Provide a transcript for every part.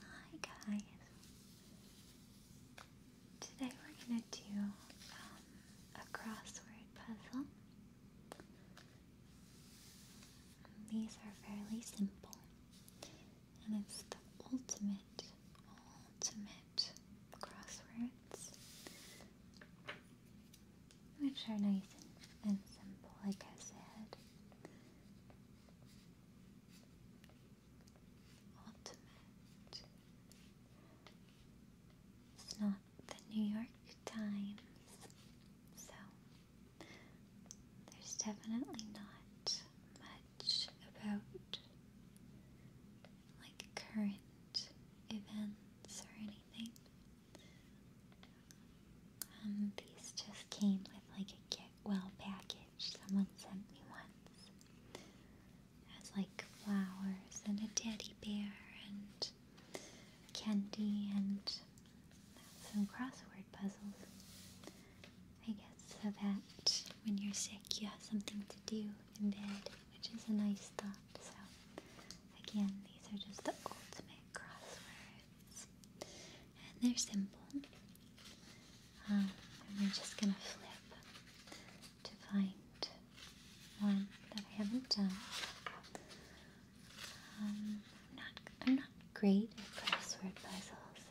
Hi guys. Today we're gonna do um, a crossword puzzle. These are fairly simple, and it's the ultimate, ultimate crosswords, which are nice and simple, like I said. It's not the New York Times, so there's definitely not much about like current events or anything. Um, these just came with like a gift well package someone sent me once. Has like flowers and a teddy bear and candy and some crossword puzzles. I guess so that when you're sick you have something to do in bed, which is a nice thought. So again, these are just the ultimate crosswords and they're simple. Um, and we're just gonna flip to find one that I haven't done. Um, I'm not I'm not great at crossword puzzles.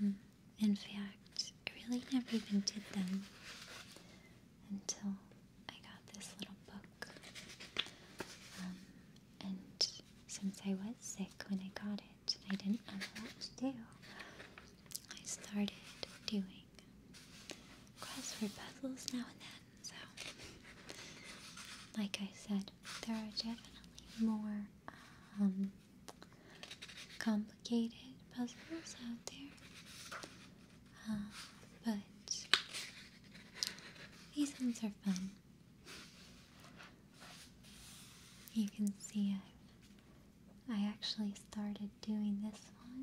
Um, in fact, I really never even did them until I got this little book. Um, and since I was sick when I got it I didn't have a lot to do, I started doing crossword puzzles now and then. So, like I said, there are definitely more um, complicated puzzles out there. Uh, but these ones are fun. You can see I, I actually started doing this one,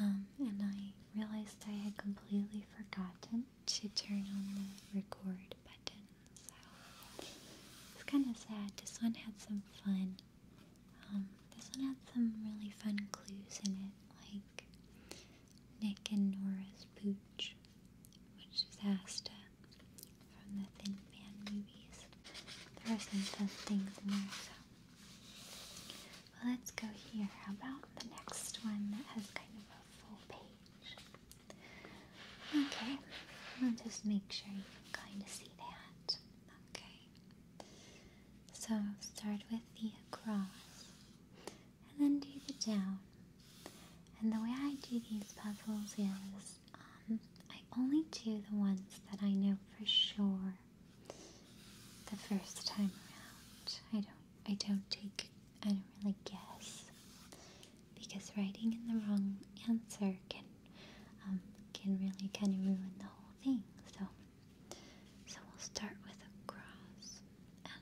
um, and I realized I had completely forgotten to turn on the record button, it's kind of sad. This one had some fun. Um, this one had some really fun clues in it, like Nick and Nora's Pooch, which is Asta from the Thin Man movies. There are some fun things in there, so. let's go here. How about the next one that has kind of a full page? Okay, I'll just make sure you kind of see that. Okay. So start with the across and then do the down. And the way I do these puzzles is um, I only do the ones that I know for sure the first time around. I don't I don't take I don't really guess because writing in the wrong answer can um, can really kind of ruin the whole thing. So so we'll start with a cross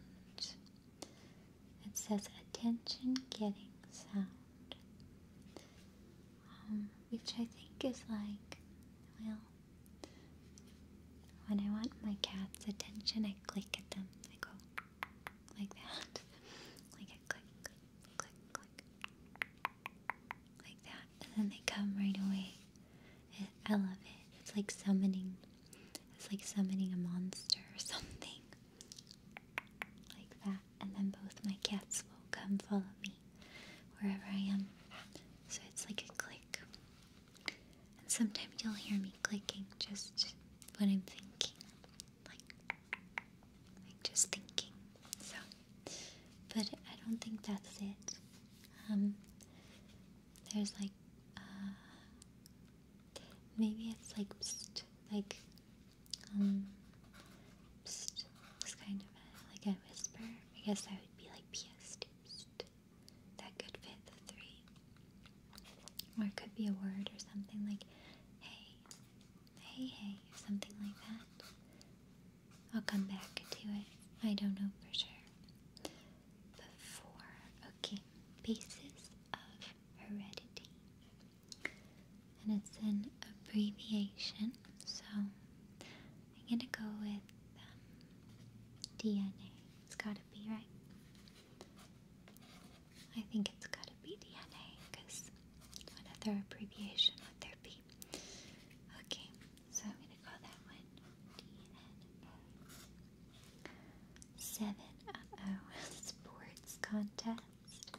it says attention getting sound, um, which I think is like, well, when I want my cat's attention, I click at them. I go like that, like a click, click, click, like that, and then they come right away. I love it. It's like summoning it's like summoning a monster or something. Like that. And then both my cats will come follow me wherever I am. So it's like a click. And sometimes you'll hear me clicking just when I'm thinking. Like, just thinking. So, but I don't think that's it. Um, there's like uh, Maybe it's like psst, like um psst it's kind of like a whisper. I guess that would be like pst, psst. That could fit the three. Or it could be a word or something like hey, hey, hey, or something like that. I'll come back to it. I don't know for sure. But four, okay, pieces of heredity. And it's an abbreviation, so I'm gonna go with um, DNA. It's gotta be, right? I think it's gotta be DNA, because what other abbreviation would there be? Okay, so I'm gonna call that one DNA. Seven. Uh oh. Sports contest.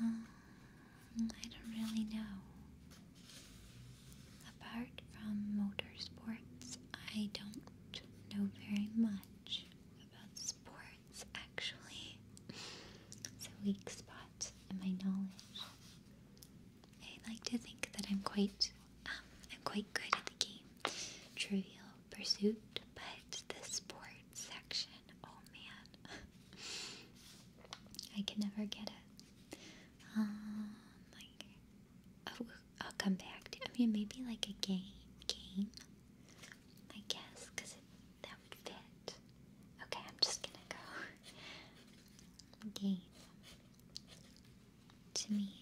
Um, I don't really know. Apart from motorsports, I don't know very much about sports actually. It's a weak spot in my knowledge. I like to think that I'm quite um, I'm quite good at the game. Trivial Pursuit, but the sports section, oh man, I can never get it. Um, like, oh, I'll come back to. I mean, maybe like a game, game, I guess, cause it, that would fit. Okay, I'm just gonna go game. To me,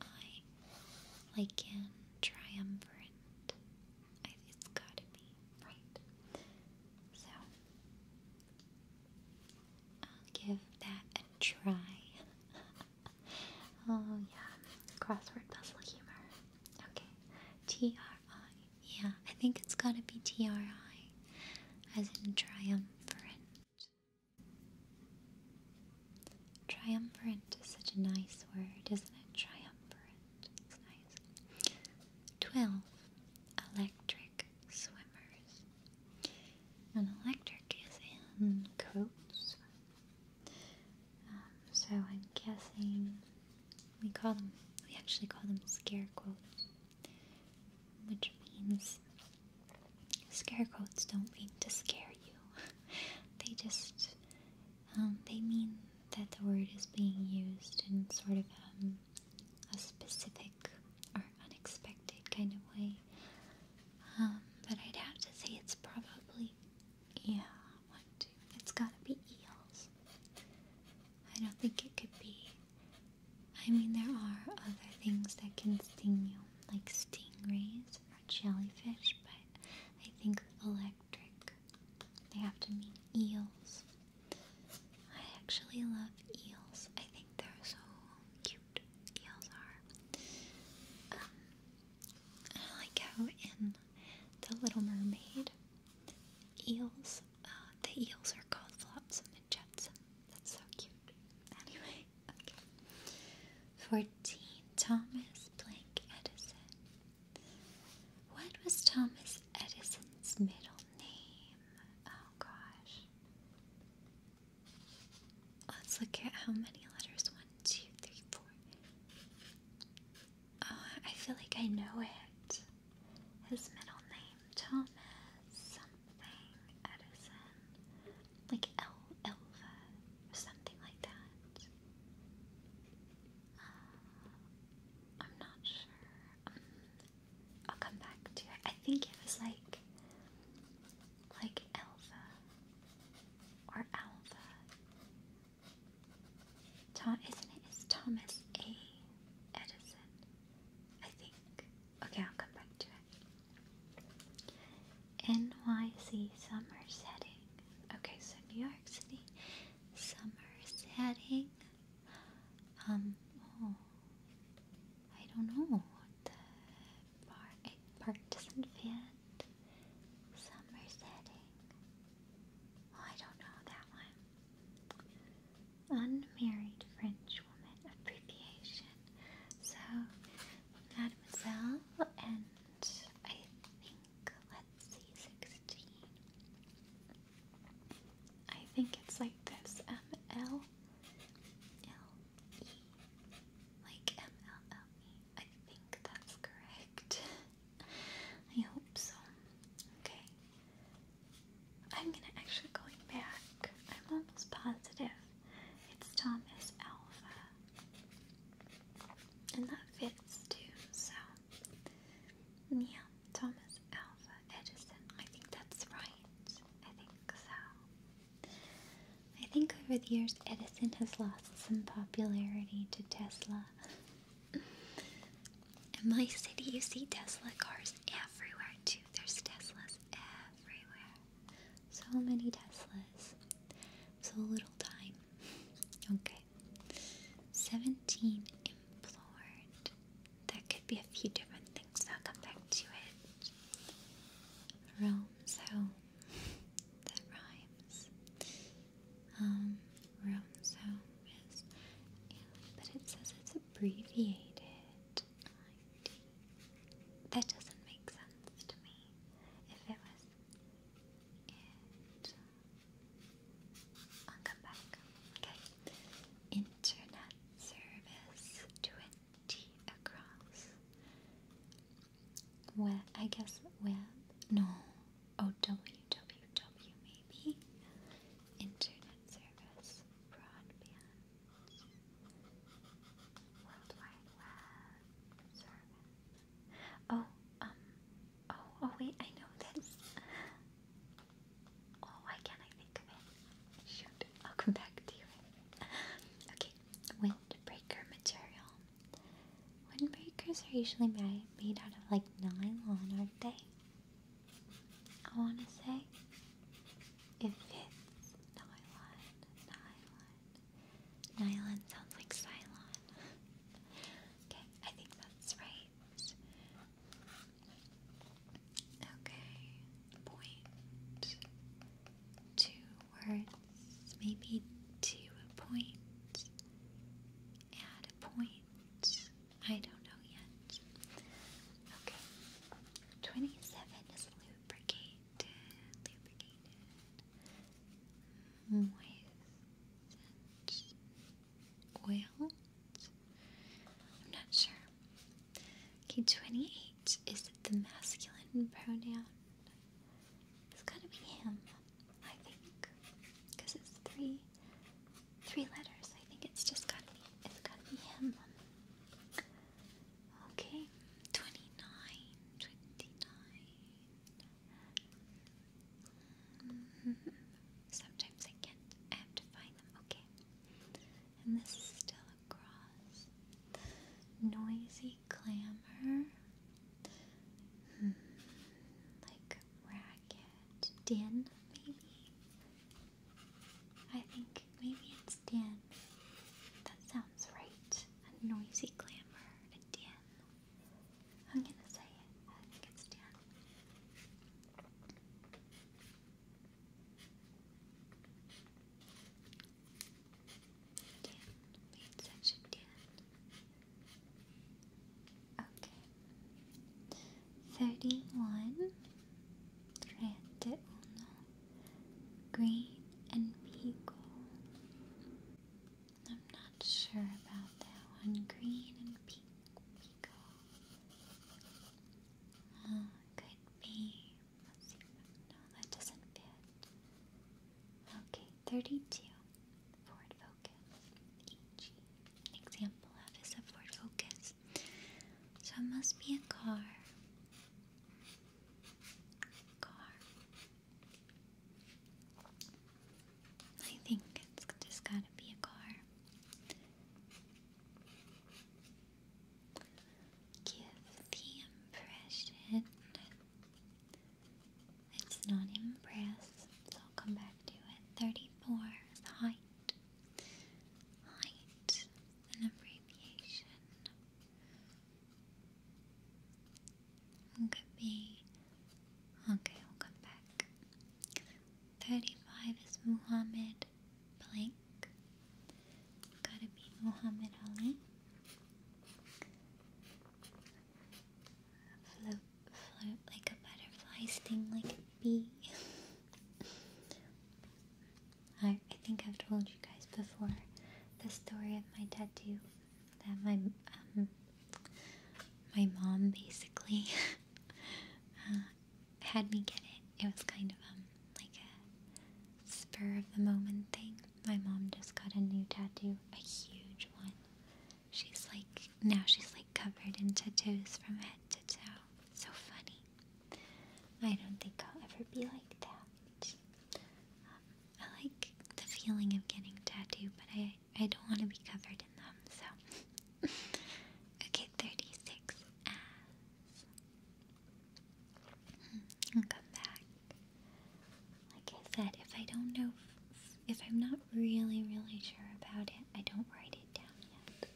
I Lycan Triumvirate. I, it's gotta be, right? So, I'll give that a try. oh, yeah. Crossword puzzle humor. Okay. T R I. Yeah, I think it's gotta be T R I. As in triumvirate. Triumvirate is such a nice word, isn't it? Triumvirate. It's nice. Twelve. Electric swimmers. An electric is in coats. Um, so I'm guessing we call them, we actually call them scare quotes, which means scare quotes don't mean to scare you. they just um, they mean that the word is being used in sort of um, a specific or unexpected kind of way. Um, but I'd have to say it's probably yeah, one, two. It's gotta be eels. I don't think it could be. I mean, there are other things that can sting you, like stingrays jellyfish, but I think electric. They have to mean eels. I actually love eels. I think they're so cute. Eels are. Um, I like how in The Little Mermaid, eels, uh, the eels are called flotsam and jetsam. That's so cute. Anyway, okay. 14. Thomas Blank Edison. What was Thomas Edison's middle name? Oh gosh. Let's look at how many letters. One, two, three, four. Oh, I feel like I know it. His middle name, Thomas something Edison. Like El Elva or something like that. Uh, I'm not sure. Um, I'll come back to it. I think it was like like Elva or Alva. Tom, isn't it? It's Thomas A. Edison, I think. Okay, I'll come back to it. NYC summer setting. Okay, so New York City summer setting. Um, oh, I don't know what the bar, eh, doesn't fit. summer setting. Oh, I don't know that one. Unmarried French woman appreciation. So, Mademoiselle and I think let's see, 16. I think it's like this M L L E. Like M L L E. I think that's correct. I hope so. Okay. I'm gonna actually going back. I'm almost positive. It's Thomas Alpha. And that fits too, so yeah, Thomas Alpha Edison. I think that's right. I think so. I think over the years Edison has lost some popularity to Tesla. In my city, you see Tesla cars everywhere too. There's Teslas everywhere. So many Teslas. So little time. Okay. Seventeen implored. There could be a few different things. I'll come back to it. Rome's home. that rhymes. Um, Rome's home is, but it says it's abbreviated. That doesn't make sense to me. If it was I'll come back. Okay. Internet service twenty across. Web I guess web no. Oh WWW maybe. Internet service broadband. World Wide Web service. Oh, um, oh, oh wait, I know this. Oh, why can't I think of it? I'll come back to you. okay, windbreaker material. Windbreakers are usually made out of like nylon, aren't they? I want to say If it's nylon, nylon, Nylon sounds like Cylon. okay, I think that's right. Okay, point two words, maybe two point, add a point. I don't know yet. Okay, twenty-seven is lubricated. Lubricated oil. I'm not sure. Okay, 28 is the masculine pronoun. It's gotta be him, I think. Because it's three three letters. I think it's just gotta be it's gotta be him. Okay. 29, 29. Mm-hmm. Sometimes I can't. I have to find them. Okay. And this is still a Noisy clamor. Hmm. Like racket. Din, maybe? I think maybe it's din. That sounds right. A noisy clamor. A din. I'm gonna say it. I think it's Dan. Dan, lead section Dan. Okay. Thirty-one, trente uno, green and pico. I'm not sure about that one. Green and pink oh, could be. No, that doesn't fit. Okay, 32. Ford Focus. EG. example of a Ford Focus. So it must be a car. Car. I think it's just gotta be a car. Give the impression it's not impressed, I'll come back to it. 34 height. Height, an abbreviation. Look at me. Okay, we'll come back. 35 is Muhammad blank. Gotta be Muhammad Ali. Float, float like a butterfly, sting like a bee. I, I think I've told you guys before the story of my tattoo that my um, my mom basically uh, had me get it. It was kind of um like a spur of the moment thing. My mom just got a new tattoo, a huge one. She's like now she's like covered in tattoos from head to toe. So funny. I don't think I'll ever be like that. Um, I like the feeling of getting tattooed, but I I don't want to be covered in them, so. okay, 36 hmm, come back. Like I said, if I don't know, if I'm not really, really sure about it, I don't write it down yet.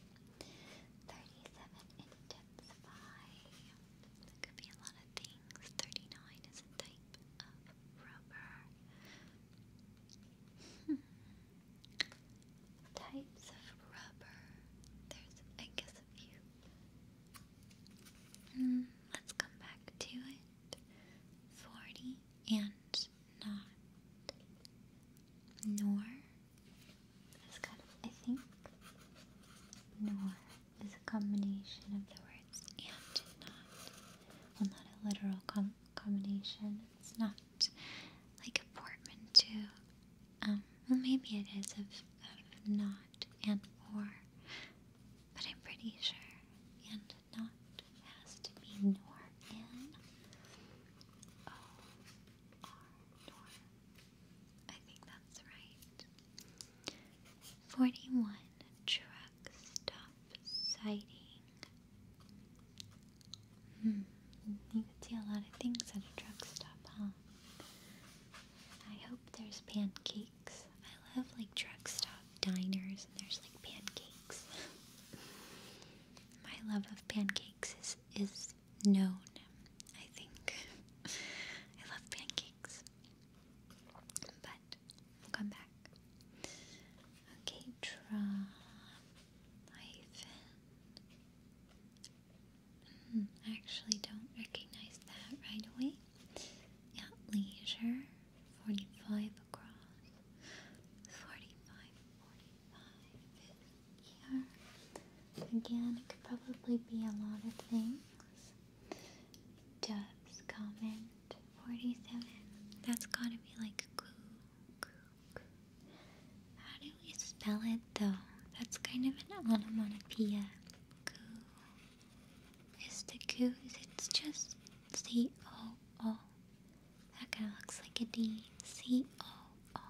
37 intensify. That could be a lot of things. 39 is a type of rubber. Types of rubber. There's, I guess, a few. Hmm, let's come back to it. Forty and not. Nor. I think. Nor is a combination of the words and not. Well, not a literal combination. It's not like a portmanteau. Um, well, maybe it is of, of not and for, but I'm pretty sure and not has to be nor in. I think that's right. Forty-one stuff sighting. Hmm, you could see a lot of things at a truck stop, huh? I hope there's pancakes. I love like drug stop diners and there's like pancakes. My love of pancakes is is known, I think. I love pancakes. But we'll come back. Okay, draw hyphen. Mm, actually, don't recognize that right away. Yeah, leisure, 45 across, 45, here. Again, it could probably be a lot of things. Doves comment 47. That's gotta be like a clue how do we spell it though? That's kind of an onomatopoeia. Is the coo? It's just C O O. That kind looks like a D. C O O.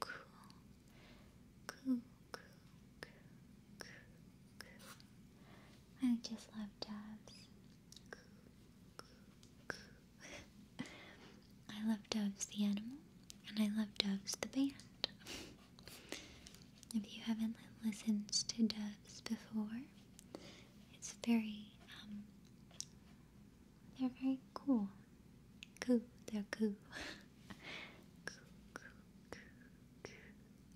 Coo. Coo. Coo. Coo. Coo. I just love jobs. I love Doves the animal, and I love Doves the band. if you haven't listened to Doves before, it's very, um, they're very cool. Coo, they're coo. coo, coo, coo, coo.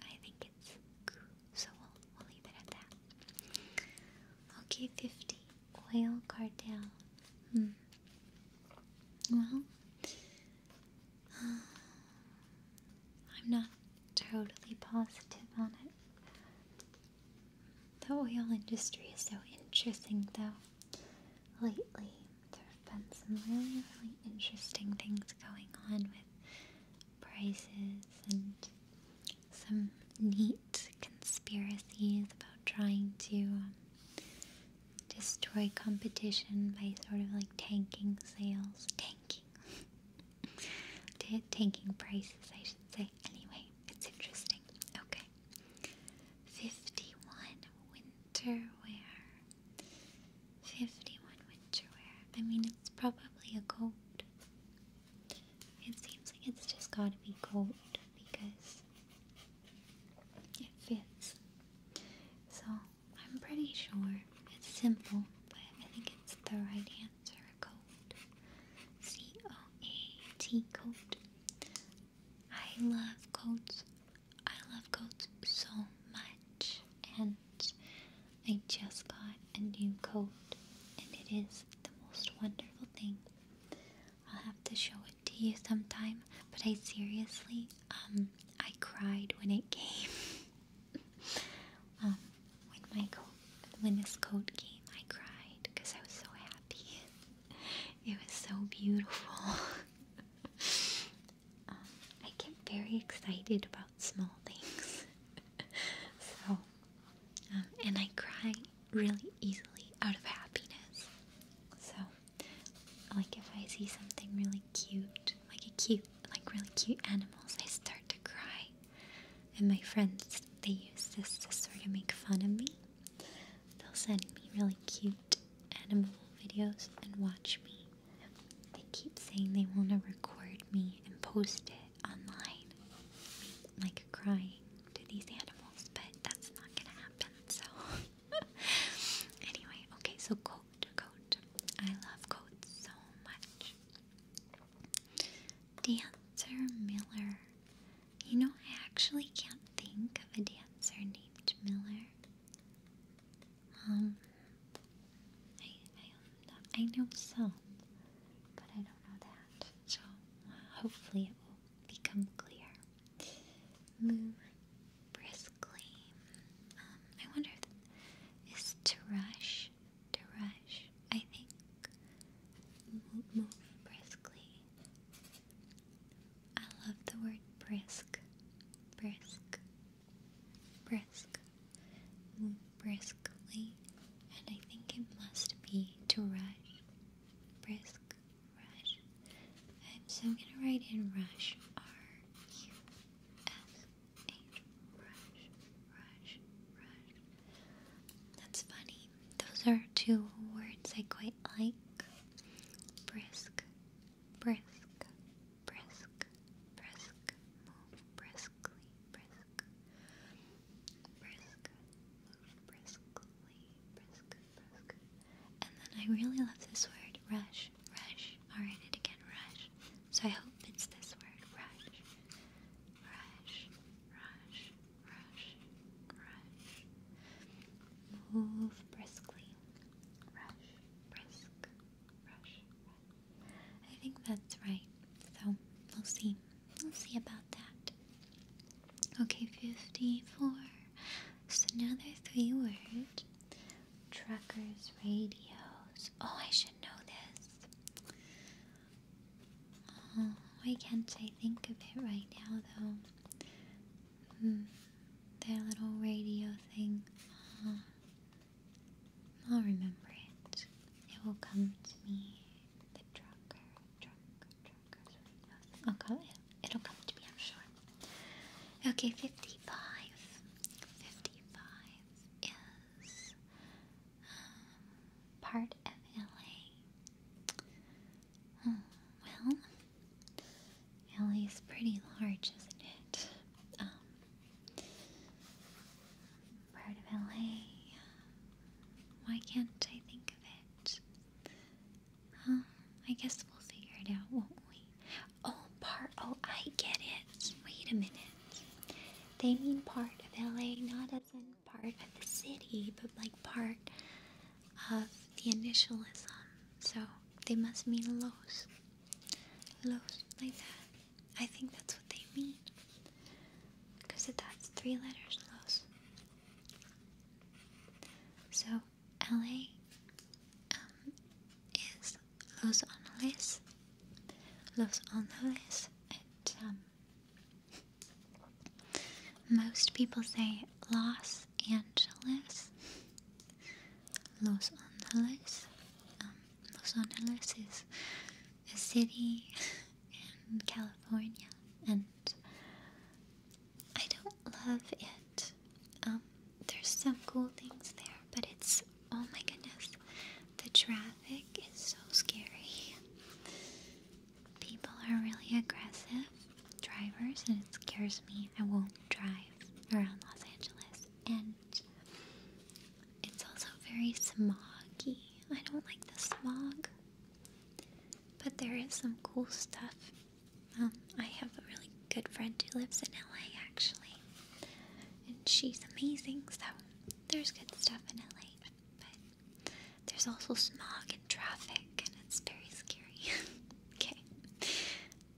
I think it's coo, so we'll, we'll leave it at that. Okay, 50 Oil cartel. Hmm. Well, uh, I'm not totally positive on it. The oil industry is so interesting, though. Lately, there have been some really, really interesting things going on with prices and some neat conspiracies about trying to um, destroy competition by sort of like tanking sales, tanking, tanking prices, I should say. Anyway, it's interesting. Okay, fifty-one winter wear. Fifty-one winter wear. I mean, it's probably a coat. It seems like it's just gotta be gold because it fits. So I'm pretty sure it's simple, but I think it's the right answer. Coat. C O A T coat. I love coats. I love coats so much. And I just got a new coat, and it is the most wonderful thing I'll have to show it to you sometime, but I seriously, um, I cried when it came. Um, when my when this coat came, I cried because I was so happy. it was so beautiful. Um, I get very excited about small things. so, um, and I cry really easily out of happiness. So, like if I see something really cute, like a cute, like really cute animals, I start to cry. And my friends, they use this to sort of make fun of me. They'll send me really cute animal videos and watch me. They keep saying they want to record me and post it online, like crying to these animals, but that's not gonna happen. So, anyway, okay. So coat, coat. I love coats so much. Dancer Miller. You know, I actually can't think of a dancer named Miller. Um, I I, I know some, but I don't know that. So hopefully it will become clear. Move briskly. Um, I wonder if is to rush, to rush. I think move briskly. I love the word brisk, brisk, brisk. Move briskly, and I think it must be to rush, brisk rush. I'm so gonna write in rush R U S H rush rush rush. That's funny. Those are two words I quite like. Brisk, brisk, brisk, brisk. briskly, brisk, brisk briskly, brisk, brisk. And then I really love this word, rush, rush. I'll write it again, rush. So I hope it's this word, rush, rush, rush, rush, rush. Move briskly, rush, brisk, rush, rush. I think that's right. So we'll see. We'll see about that. Okay, 54. So now there three words truckers, radios. Oh, I should know this. Oh, why can't I think of it right now, though? Hmm, their little radio thing. Uh-huh. I'll remember it. It will come to me. The trucker, trucker. Okay, it'll come to me, I'm sure. Okay, 55. 55 is um, part of LA. Hmm, well, LA is pretty large, isn't it? Um, part of LA. Why can't I think of it? Um, I guess we'll figure it out, won't we? Oh, part. Oh, I get it. Wait a minute. They mean part of LA, not as in part of the city, but like part of the initialism. So they must mean Los. Los, like that. I think that's what they mean. Because that's three letters, Los. So LA um, is Los Angeles, Los Angeles, um, most people say Los Angeles, Los Angeles. Um, Los Angeles is a city in California, and I don't love it. Um, there's some cool things there, but it's oh my goodness, the traffic is so scary. People are really aggressive drivers, and it scares me. I won't drive around Los Angeles, and it's also very smoggy. I don't like the smog. But there is some cool stuff. Um, I have a really good friend who lives in LA actually, and she's amazing, so there's good stuff in LA. But there's also smog and traffic, and it's very scary. okay,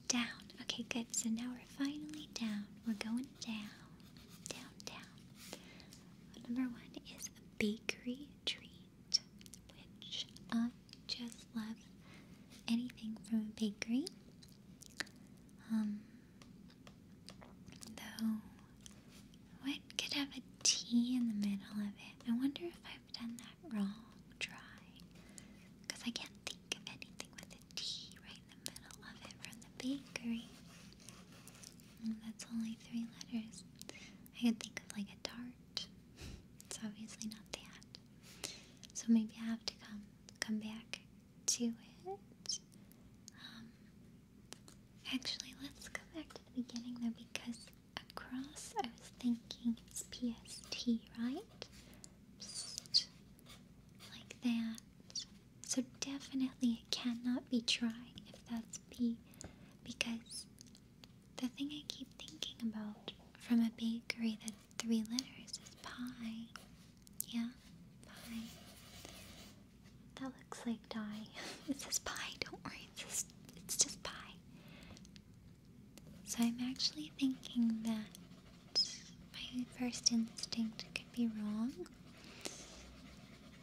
down. Okay, good. So now we're finally down. We're going down, down, down. Number one is a bakery tree which I uh, just love anything from a bakery. Um, though, what could have a T in the middle of it? I wonder if I've done that wrong. Try, because I can't think of anything with a T right in the middle of it from the bakery. Mm, that's only three letters. I can think of like a tart it's obviously not that. So maybe I have to come come back to it. Um, actually, let's go back to the beginning though, because across I was thinking it's PST, right? like that. So definitely it cannot be trying if that's P, because the thing I keep thinking about from a bakery that three letters is pie. Yeah, pie. That looks like die. it says pie, don't worry, it's just, it's just pie. So I'm actually thinking that my first instinct could be wrong.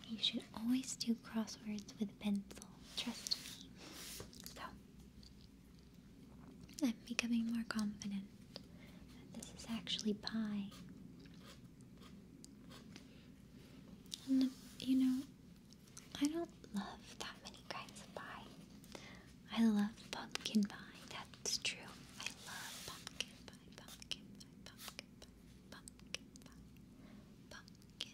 You should always do crosswords with a pencil. Trust me. So, I'm becoming more confident that this is actually pie. you know, I don't love that many kinds of pie. I love pumpkin pie, that's true. I love pumpkin pie, pumpkin pie, pumpkin pumpkin pumpkin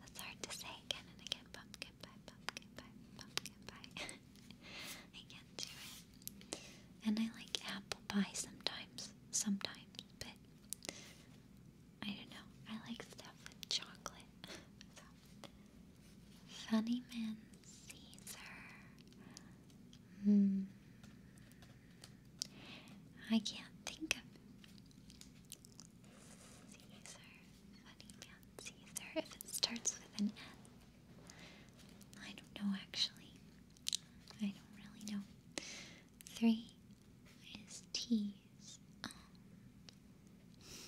that's hard to say again and again. I can't do it. And I like apple pie sometimes, sometimes, but I don't know. I like stuff with chocolate. Funny Man Caesar. Hmm. I can't think of Caesar, funny man Caesar, if it starts with an N. I don't know actually. I don't really know. Three is T. Um,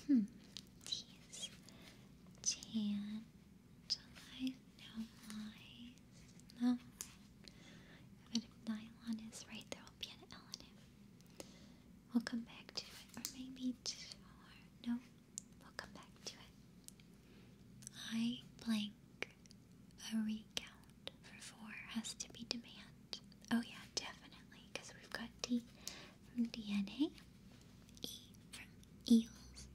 hmm. T's. Jan. July. No, lies. No. But if nylon is right, there will be an L in it. We'll come back to it. Or maybe two no. We'll come back to it. I blank. A recount for four has to be demand. Oh yeah, definitely. Because we've got D from DNA, E from eels,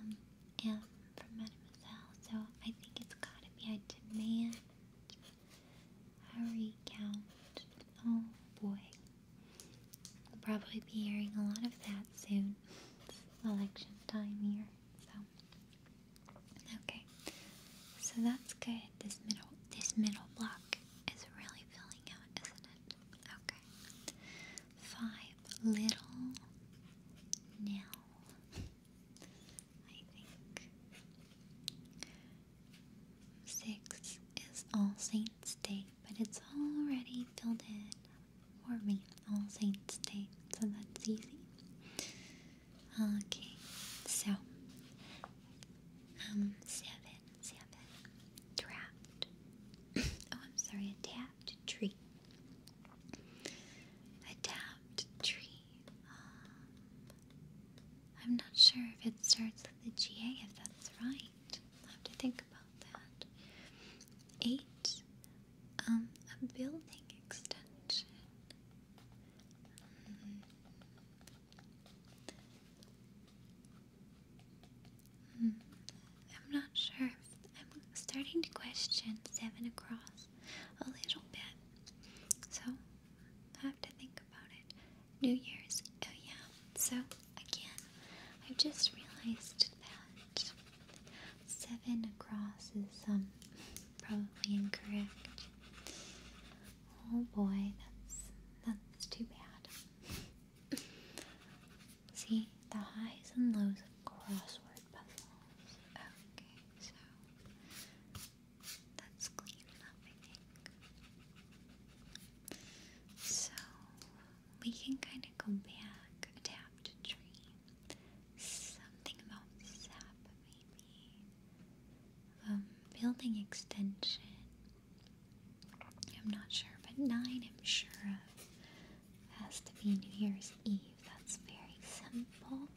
um, M from mademoiselle. So I think it's gotta be a demand a recount. Oh boy. We'll probably be hearing a lot of that soon. election time here, so okay. So that's good. This middle this middle block is really filling out, isn't it? Okay. Five little nil. I think. Six is All Saints' Day, but it's already filled in for me. All Saints' Day, so that's easy. Okay, so um, seven, seven, draft. oh, I'm sorry, tapped tree. tapped tree um, I'm not sure if it starts with the GA, if that's right. i have to think about that. Eight, um, a building extension. Hmm. Hmm. I'm not sure. I'm starting to question seven across a little bit. So, have to think about it. New Year's, oh yeah. So, again, I just realized that seven across is um, probably incorrect. Oh boy, that's that's too bad. See the highs and lows of crossword puzzles. Okay, so that's clean enough, I think. So we can kind of go back, adapt a tree. Something about sap, maybe. Um, building extension. I'm not sure, but nine I'm sure of has to be New Year's Eve. That's very simple.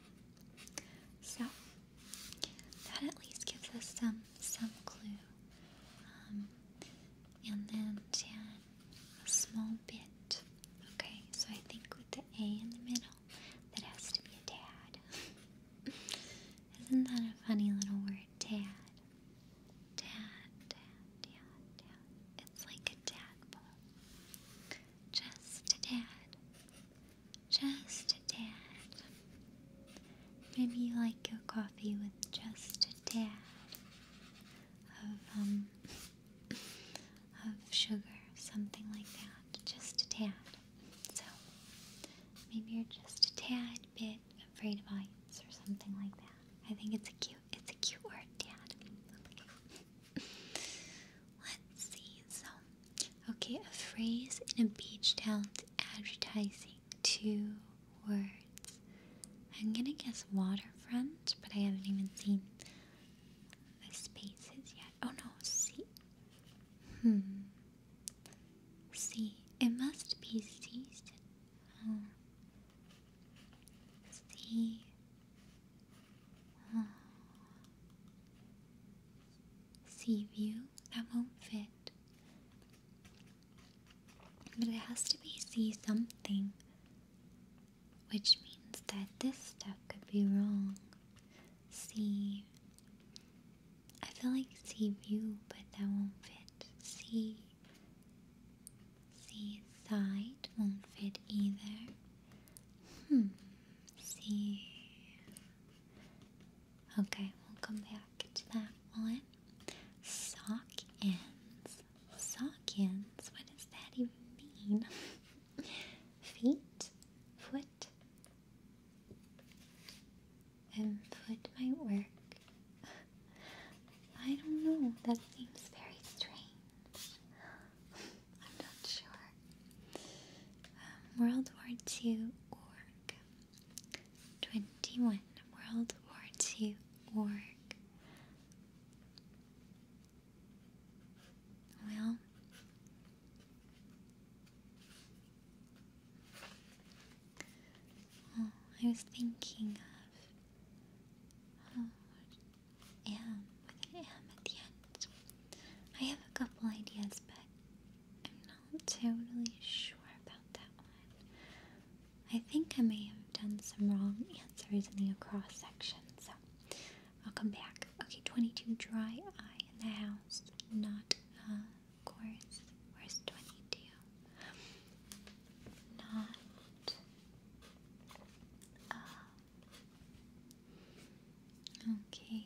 So that at least gives us some some clue. Um, and then tan, a small bit. Okay, so I think with the A in the middle, that has to be a tad. Isn't that a funny little word, tad? Tad, tad, tad, tad. It's like a tadpole. Just a tad. Just a tad. Maybe you like your coffee with just a tad of um of sugar, something like that. Just a tad. So maybe you're just a tad bit afraid of heights or something like that. I think it's a cute it's a cute word, Dad. Let's see, so Okay, a phrase in a beach town advertising. Two words. I'm gonna guess waterfront, but I haven't even seen the spaces yet. Oh no, see, Hmm. Sea. It must be season. Sea. Oh sea view. That won't fit. But it has to be sea something. Which means that this stuff could be wrong. Sea. I feel like sea view, but that won't fit. Sea. Sea side won't fit either. Hmm. Sea. Okay, we'll come back to that one. Sock ends. Sock ends? What does that even mean? Feet? Foot? And foot might work. I don't know, that seems very strange. I'm not sure. Um, World War II org. 21. World War II org. Well, oh, I was thinking of am with an am at the end. I have a couple ideas, but I'm not totally sure about that one. I think I may have done some wrong answers in the cross section, so I'll come back. Okay, 22 dry eye in the house, not a course. Where's 22? Not Okay,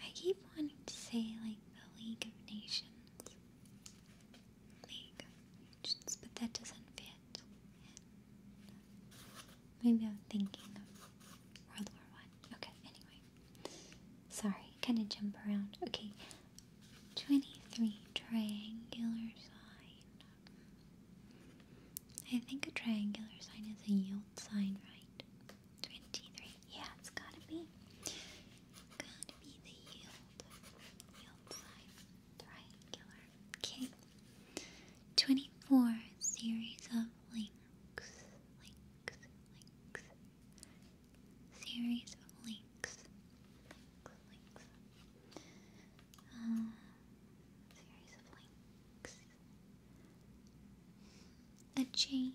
I keep wanting to say, like, the League of Nations. League of Nations, but that doesn't fit. Maybe I'm thinking of World War One. Okay, anyway. Sorry, kind of jump around. Okay, 23 triangular sign. I think a triangular sign is a yield sign, right? Twenty-three. Yeah, it's gotta be. Gotta be the yield. Yield sign. Triangular. Okay. Twenty-four series of links. Links. Links. Series of links. Links. Links. Um, series of links a chain.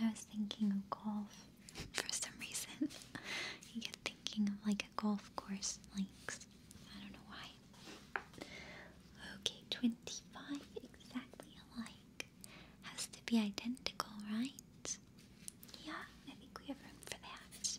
I was thinking of golf for some reason. you get thinking of like a golf course links. I don't know why. Okay, 25 exactly alike. Has to be identical, right? Yeah, I think we have room for that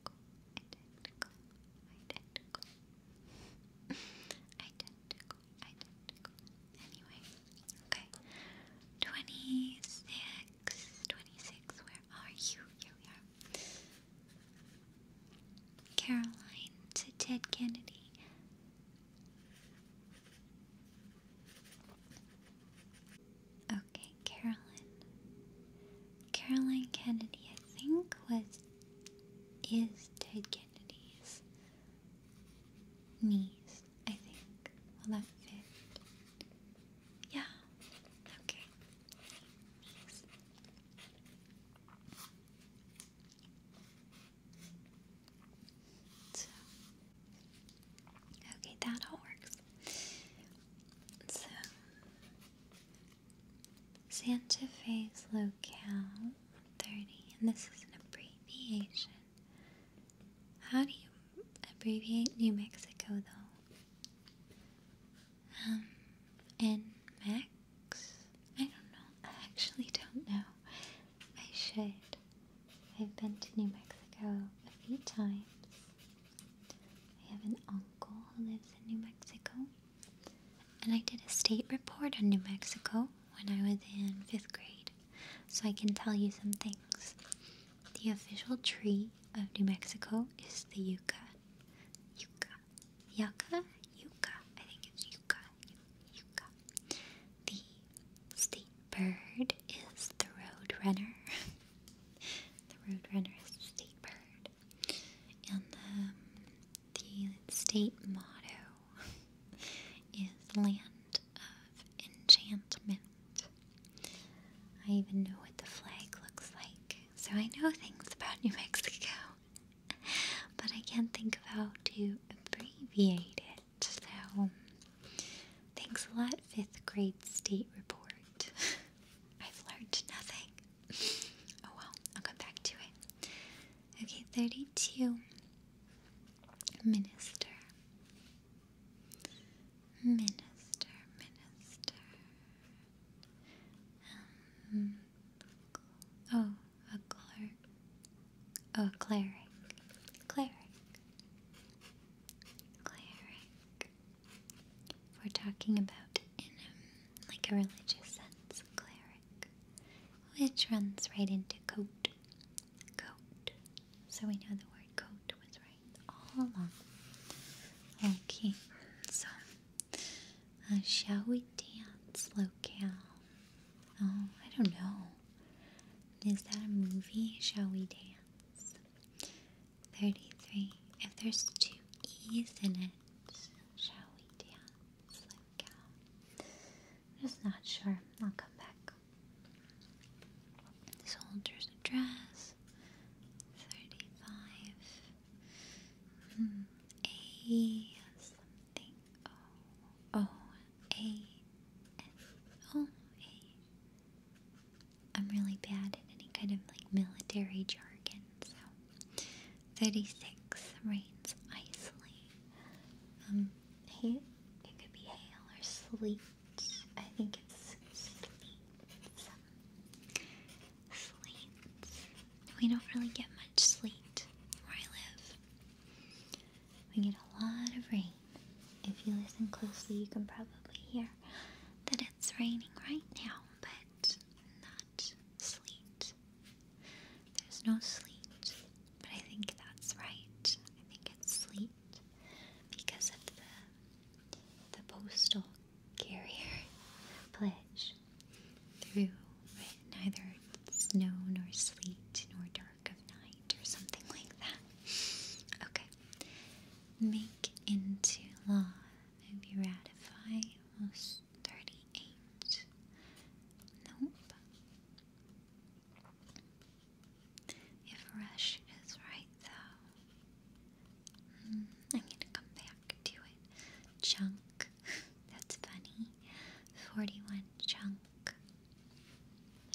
identical, identical, identical, identical, Anyway, okay. Twenty six, twenty six. Where are you? Here we are. Caroline to Ted Kennedy. Okay, Carolyn. Caroline Kennedy, I think, was is Ted Kennedy's niece, I think. Will that fit? Yeah. Okay. okay, that all works. So, Santa Fe's locale 30, and this is an abbreviation. How do you abbreviate New Mexico though? Um, NMEX? I don't know. I actually don't know. I should. I've been to New Mexico a few times. I have an uncle who lives in New Mexico. And I did a state report on New Mexico when I was in fifth grade, so I can tell you some things. The official tree of New Mexico is the yucca. Yucca. Yucca? Yucca. I think it's yucca. Yucca. The state bird is the roadrunner. the roadrunner is the state bird and um, the state motto is land of enchantment I even know what the flag looks like so I know things about New Mexico but I can't think of how to abbreviate it so thanks a lot fifth grade state report I've learned nothing Oh well, I'll come back to it. Okay, 32. Minister. Minister, minister. Um, oh, a clerk. Oh, cleric. Cleric. Cleric. we're talking about in like a religious sense, cleric which runs right into coat. Coat. So we know the word coat was right all along. Okay, so uh, shall we dance, locale? Oh, I don't know. Is that a movie? Shall we dance? 33. If there's two E's in it, shall we dance? I'm uh, just not sure. I'll come back. Soldier's address. 35. Hmm. a something. O. O. A. N. O. A. I'm really bad at any kind of like military jargon, so 36 rains icily. Um, hail, it could be hail or sleet. I think it's sleet. sleet. We don't really get much sleet where I live. We get a lot of rain. If you listen closely, you can probably hear that it's raining right now, but not sleet. There's no sleet, but I think that's right. I think it's sleet because of the the postal carrier pledge through neither snow nor sleet nor dark of night or something like that. Okay. Make into law and be 38. Nope. If Rush is right, though, hmm, I'm gonna come back to it. Chunk. That's funny. 41 chunk.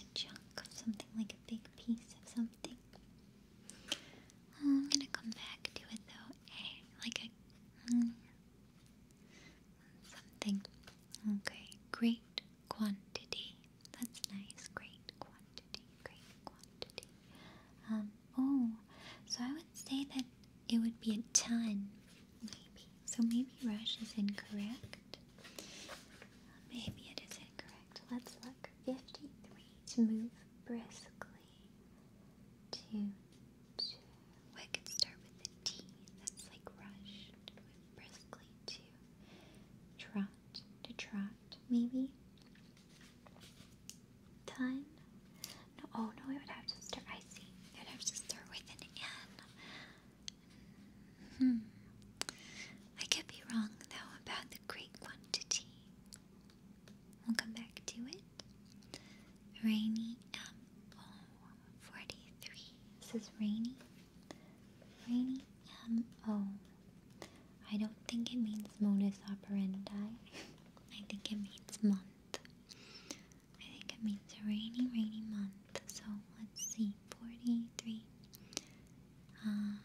A chunk of something like a big piece of something. Oh, I'm gonna come back to it though. Hey, eh, like a. Hmm something. Okay, great quantity. That's nice. Great quantity. Great quantity. Um, oh, so I would say that it would be a ton, maybe. So maybe rush is incorrect. Maybe it is incorrect. Let's look. 53 to move briskly two, two. I could start with a T. That's like rush. Move briskly to trot, to trot, maybe. Ton. No, oh no, I would have to start. I see. I would have to start with an N. Hmm. I could be wrong though about the great quantity. We'll come back to it. Rainy M043. This is Rainy. Rainy M0. I don't think it means modus operandi. I think it means month. I think it means a rainy, rainy month. So let's see. 43. Um,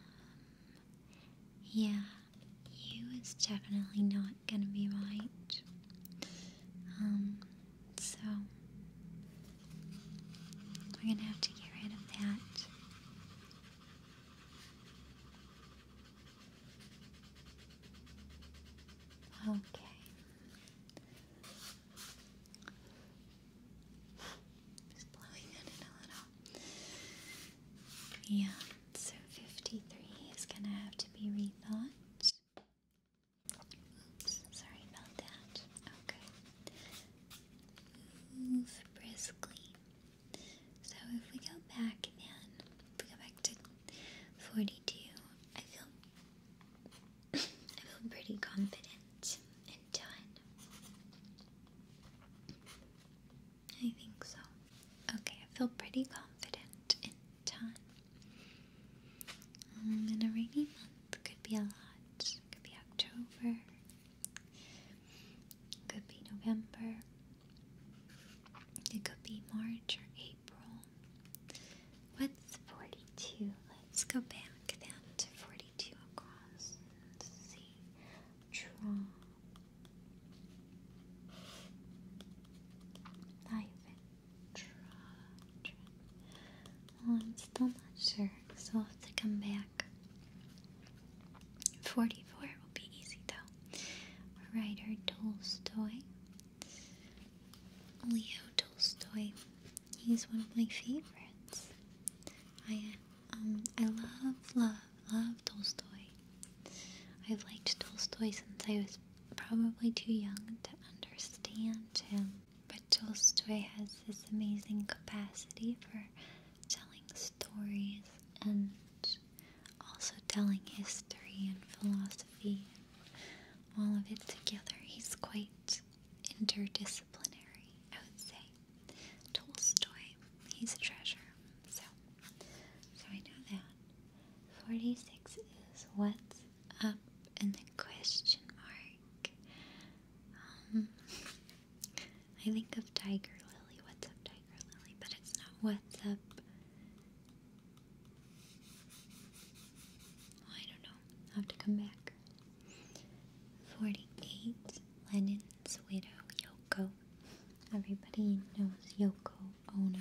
yeah, you is definitely not gonna be right. Um, so we're gonna have to get rid of that. Okay. Just blowing it in a little. Yeah, so 53 is going to have to be rethought. Oops, sorry about that. Okay. Move briskly. So if we go back again, go back to 42, I feel I feel pretty confident and done. I think so. Okay, I feel pretty confident and done. In um, a rainy month could be a lot. Could be October. Could be November. It could be March or April. What's 42? Let's go back then to 42 across and see. Draw. Liven. I'm still not sure, so I'll have to come back. 44 will be easy though. Writer Tolstoy. Leo Tolstoy. He's one of my favorites. I um I love love love Tolstoy. I've liked Tolstoy since I was probably too young to understand him. But Tolstoy has this amazing capacity for telling stories and also telling history and philosophy all of it together. He's quite interdisciplinary, I would say. Tolstoy, he's a treasure. So, so I know that. 46 is what's up and a question mark. Um, I think of Tiger Lily. What's up, Tiger Lily? But it's not what's up. I don't know. i have to come back. 48. Lennon's widow, Yoko. Everybody knows Yoko Ono.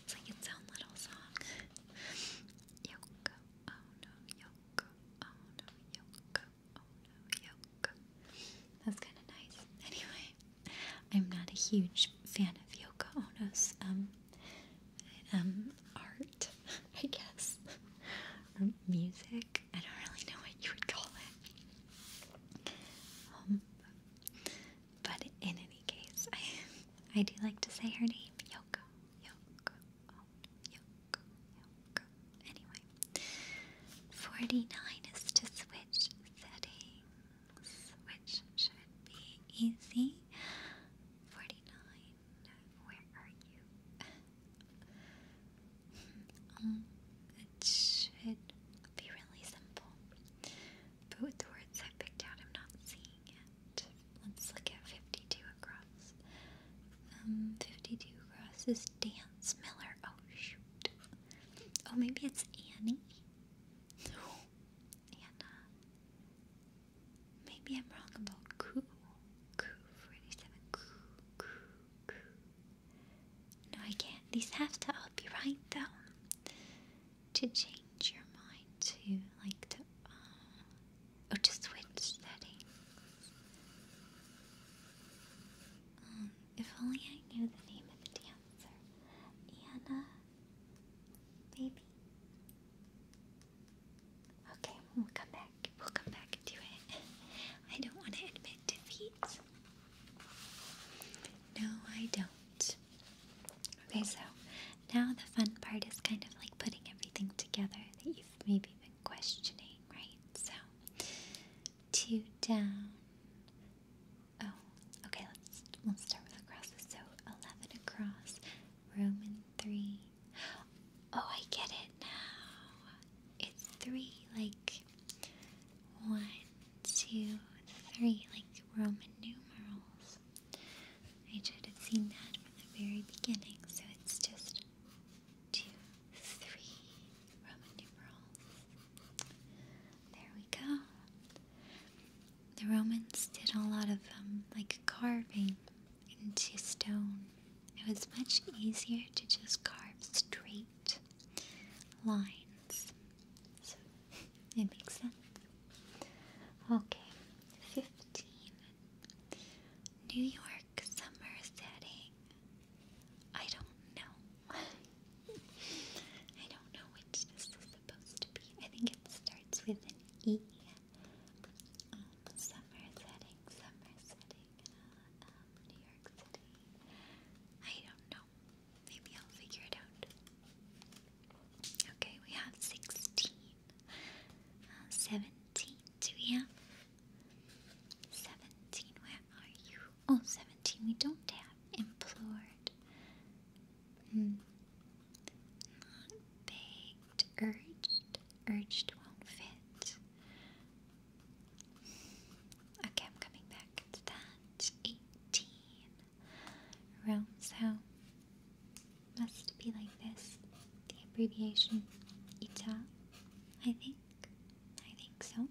it's like its own little song. Yoko Ono, Yoko Ono, Yoko Ono, Yoko. That's kind of nice. Anyway, I'm not a huge fan of Yoko Ono's um, um art, I guess, music. I don't really know what you would call it. Um, but in any case, I I do like to say her name, Yoko, Yoko, oh, Yoko, Yoko. Anyway, forty-nine is to switch settings, which should be easy. Forty-nine. Where are you? Um, it should be really simple. But with the words I picked out, I'm not seeing it. Let's look at 52 across. Um, 52 across is Dance Miller. Oh, shoot. Oh, maybe it's Annie? Anna. Maybe I'm wrong about Coo. Coo 47. Coo, coo, no, I can't. These have to all be right, though. To change your mind to, like, to, uh, oh or to switch settings. Um, if only I knew the name of the dancer. Anna, baby. Okay, we'll come back. We'll come back to it. I don't want to admit defeat. No, I don't. Okay, so now the fun part is kind of like putting everything together that you've maybe been questioning, right? So, two down. Oh, okay, let's we'll start with the crosses. So, 11 across, Roman 3. Oh, I get it now. It's 3, like 1, two, three, like Roman numerals. I should have seen that from the very beginning, so it's just two, three Roman numerals. There we go. The Romans did a lot of um, like carving into stone. It was much easier to just carve straight lines. So it makes sense. Okay, 15. New York summer setting. I don't know. I don't know which this is supposed to be. I think it starts with an E. Um, summer setting, summer setting, uh, um, New York City. I don't know. Maybe I'll figure it out. Okay, we have 16. Uh, 17. Do we have 17? Where are you? Oh, 17. We don't have implored. Mm. Not begged. Urged. Urged won't fit. Okay, I'm coming back to that. 18. Rounds how must be like this. The abbreviation ITA, I think. I think so.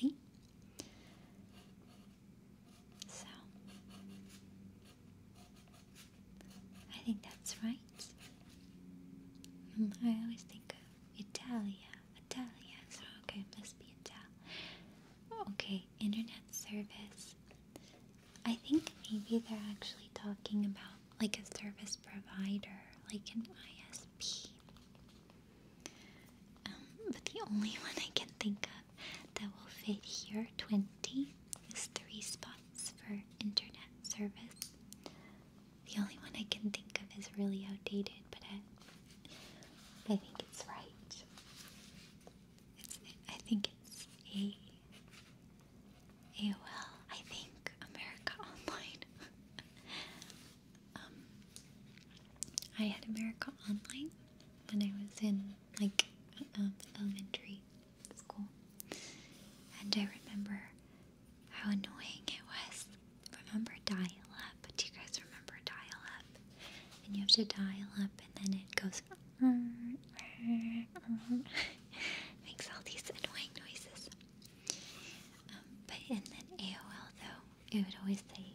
See? So, I think that's right. Mm, I always think of Italia. Italia. So, okay, must be Italia. Okay, internet service. I think maybe they're actually talking about like a service provider, like an ISP. Um, but the only one I can think of that will fit here, 20, is three spots for internet service. The only one I can think of is really outdated, but I think it's right. It's, I think it's A. AOL, I think, America Online. um, I had America Online when I was in like um, elementary school, and I remember how annoying it was. Remember dial up. Do you guys remember dial up? And you have to dial up, and then it goes. Makes all these annoying noises. Um, but and then AOL though, it would always say,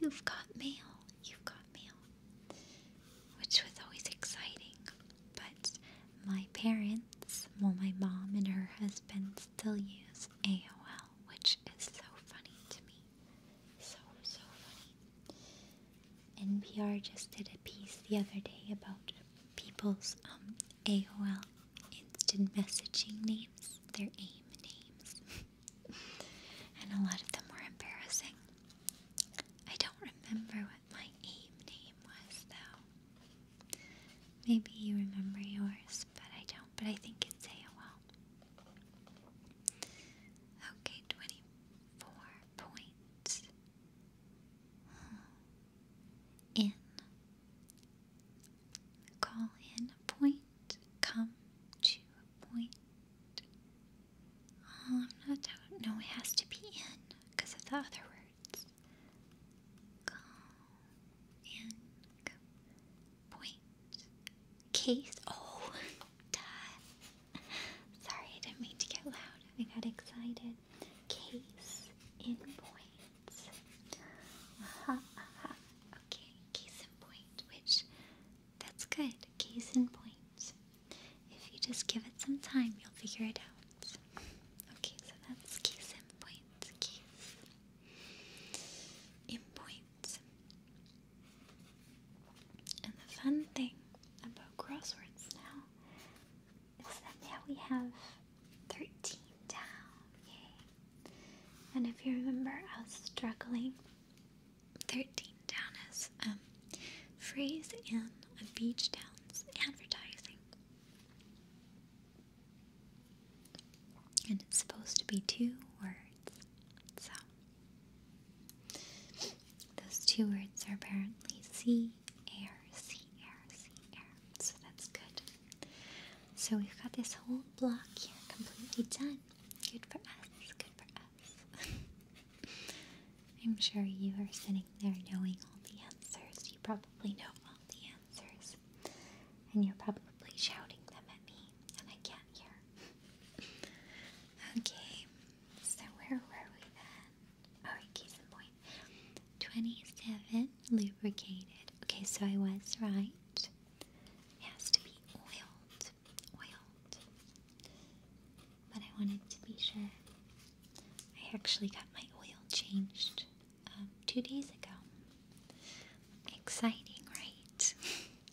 "You've got mail. You've got mail," which was always exciting. But my parents, well, my mom and her husband still use AOL, which is so funny to me. So so funny. NPR just did a piece the other day about people's um, AOL instant messaging names, their AIM names. and a lot of them were embarrassing. I don't remember what my AIM name was though. Maybe you remember yours, but I don't. But I think it's AOL. Okay, 24 points hmm. in call in a point, come to a point. Oh, I'm not out. it has to be in because of the other words. Call in come, point case. Oh, Sorry, I didn't mean to get loud. I got excited. Case in point. Uh-huh, uh-huh. Okay, case in point, which that's good. Case in point. If you just give it some time, you'll figure it out. Okay, so that's case in point. Case in point. And the fun thing about crosswords now is that now we have 13 down. Yay. And if you remember, I was struggling. 13 down is um, phrase in a beach town's advertising. And it's supposed to be two words. So those two words are apparently sea, So that's good. So we've got this whole block here completely done. Good for us, good for us. I'm sure you are sitting there knowing all the answers. You probably know all the answers. And you're probably shouting them at me, and I can here. okay, so where were we then? Alright, case in point. 27 lubricated. Okay, so I was right. It has to be oiled. Oiled. But I wanted to be sure. I actually got my oil changed um, two days ago. Exciting, right?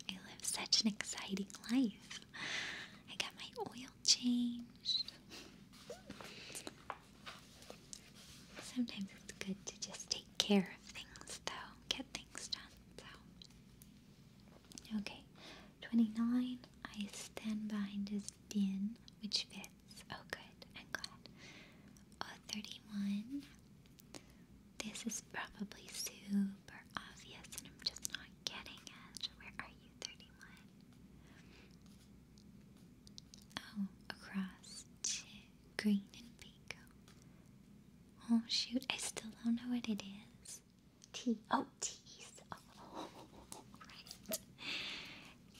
I live such an exciting life. I got my oil changed. Sometimes it's good to just take care of things, though, get things done. So, okay, 29. I stand behind this bin, which fits. Oh, good, I'm glad. 31. This is probably super obvious, and I'm just not getting at. Where are you, 31? Oh, across to green and pico. Oh, shoot, I still don't know what it is. T. Oh, teeth. Oh,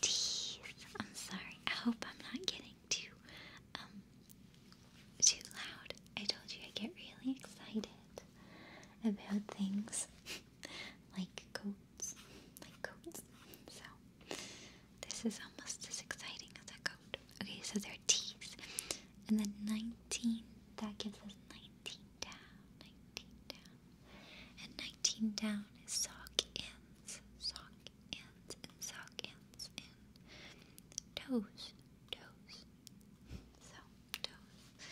Teeth. I'm sorry. I hope I'm not getting too, um, too loud. I told you I get really excited about things like coats, like coats. So this is almost as exciting as a coat. Okay, so there are teeth, and then 19. That gives us 19 down, 19 down, and 19 down is sock ends, sock ends, and sock ends, and toes, toes. So toes.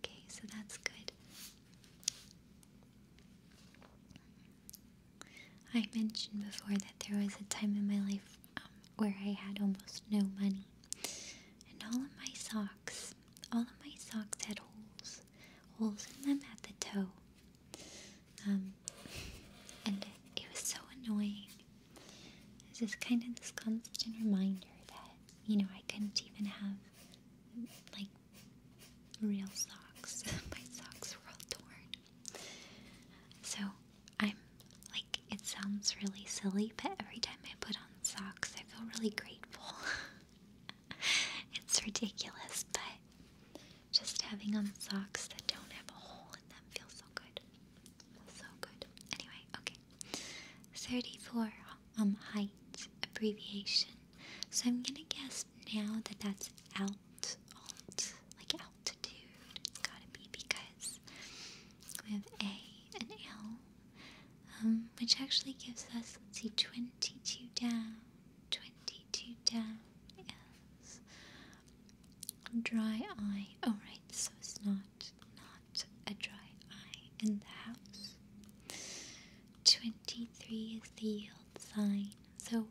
Okay, so that's good. I mentioned before that there was a time in my life um, where I had almost no money, and all of my socks, all of my socks had holes, holes in them at the toe. Um, and it was so annoying. It's just kind of this constant reminder that, you know, I couldn't even have, like, real socks. My socks were all torn. So, I'm, like, it sounds really silly, but every time I put on socks, I feel really grateful. it's ridiculous, but just having on socks that don't have a hole in them feels so good. So good. Anyway, okay. 34, um, height abbreviation. So I'm gonna guess now that that's out, alt, like altitude. gotta be because we have A and L, um, which actually gives us, let's see, 22 down, 22 down is dry eye. Oh, right, so it's not not a dry eye in the house. 23 is the yield sign. So,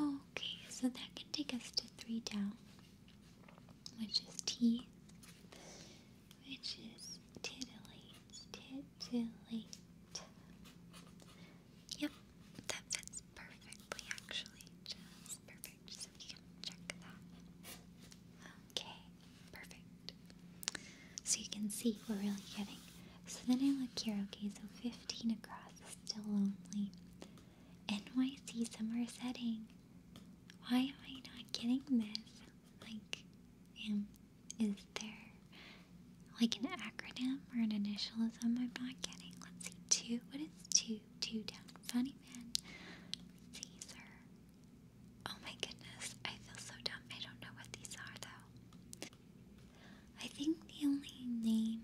okay, so that can take us to 3 down, which is T, which is titillate, titillate. Yep, that fits perfectly, actually, just perfect so Okay, perfect. So you can see we're really getting. So then I look here, okay, so 15 across is still lonely. NYC summer setting. Why am I not getting this? Like, is there like an acronym or an initial is I'm not getting? Let's see, two. What is two? two down funny man, Caesar. Oh my goodness, I feel so dumb. I don't know what these are though. I think the only name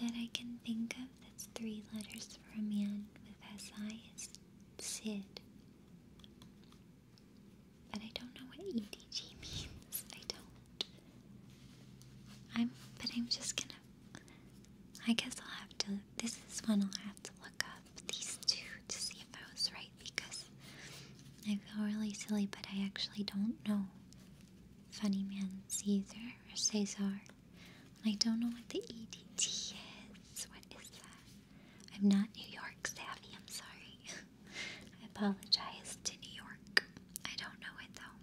that I can think of that's three letters for a man with SI is Sid. But I don't know what EDG means. I don't. I'm but I'm just gonna I guess I'll have to. This is one I'll have to look up these two to see if I was right because I feel really silly, but I actually don't know. Funny Man Caesar or Caesar. I don't know what the EDT is. What is that? I'm not New York savvy, I'm sorry. I apologize to New York. I don't know it though.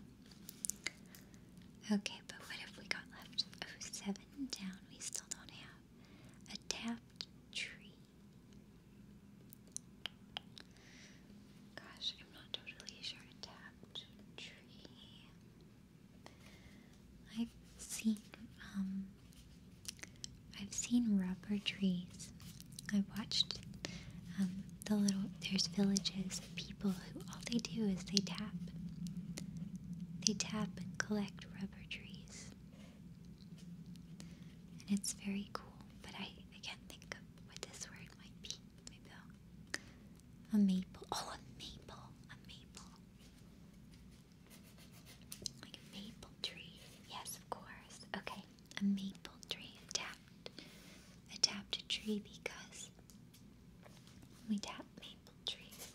Okay, but what have we got left? Oh, seven down. We still don't have a tapped tree. Gosh, I'm not totally sure. tapped tree. I've seen, um, I've seen rubber trees. I've watched um, the little, there's villages people who all they do is they tap. They tap and collect rubber trees. And it's very cool, but I, I can't think of what this word might be. Maybe a maple. Oh, a maple. A maple. Like a maple tree. Yes, of course. Okay, a maple tree. Adapt. Adapt tree because we tap maple trees.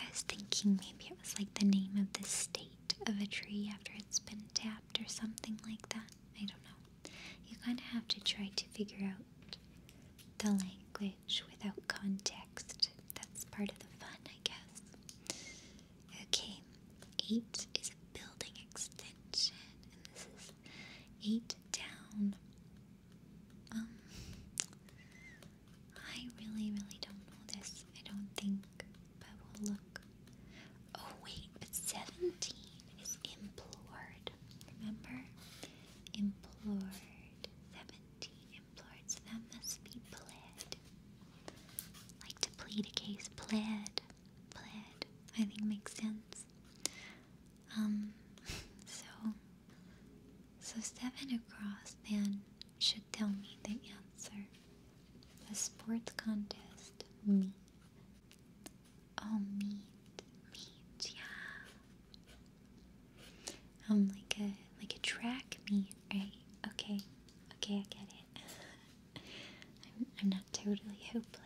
I was thinking maybe it was like the name of the state of a tree after it's been tapped or something like that. I don't know. You kind of have to try to figure out the language without context. That's part of the fun, I guess. Okay, eight is a building extension, and this is eight down. Um, I really, really don't know this. I don't think, but we'll look. Oh wait, but seventeen is implored. Remember, implored. Seventeen implored. So that must be pled. Like to plead a case, pled, pled. I think makes sense. Um, so so stepping across then should tell me the answer. A sports contest. Meet. Oh, meet. yeah. Um, like a, like a track meet, right? Okay. Okay, I get it. I'm, I'm not totally hopeless.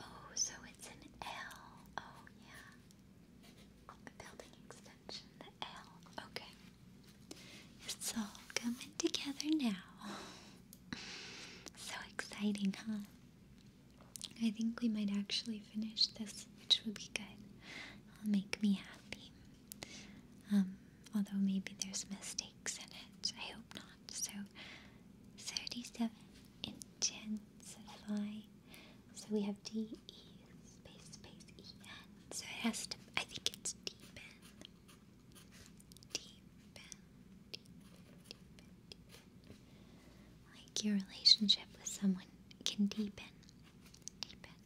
Oh, so it's an L. Oh, yeah building extension, the L. Okay. It's all coming together now. so exciting, huh? I think we might actually finish this, which would be good. It'll make me happy. Um, although maybe there's mistakes in it. I hope not. So, 37 intensify so we have D E space space E N. So it has to. I think it's deepen. Deepen. Deepen. Deepen. Like your relationship with someone can deepen, deepen,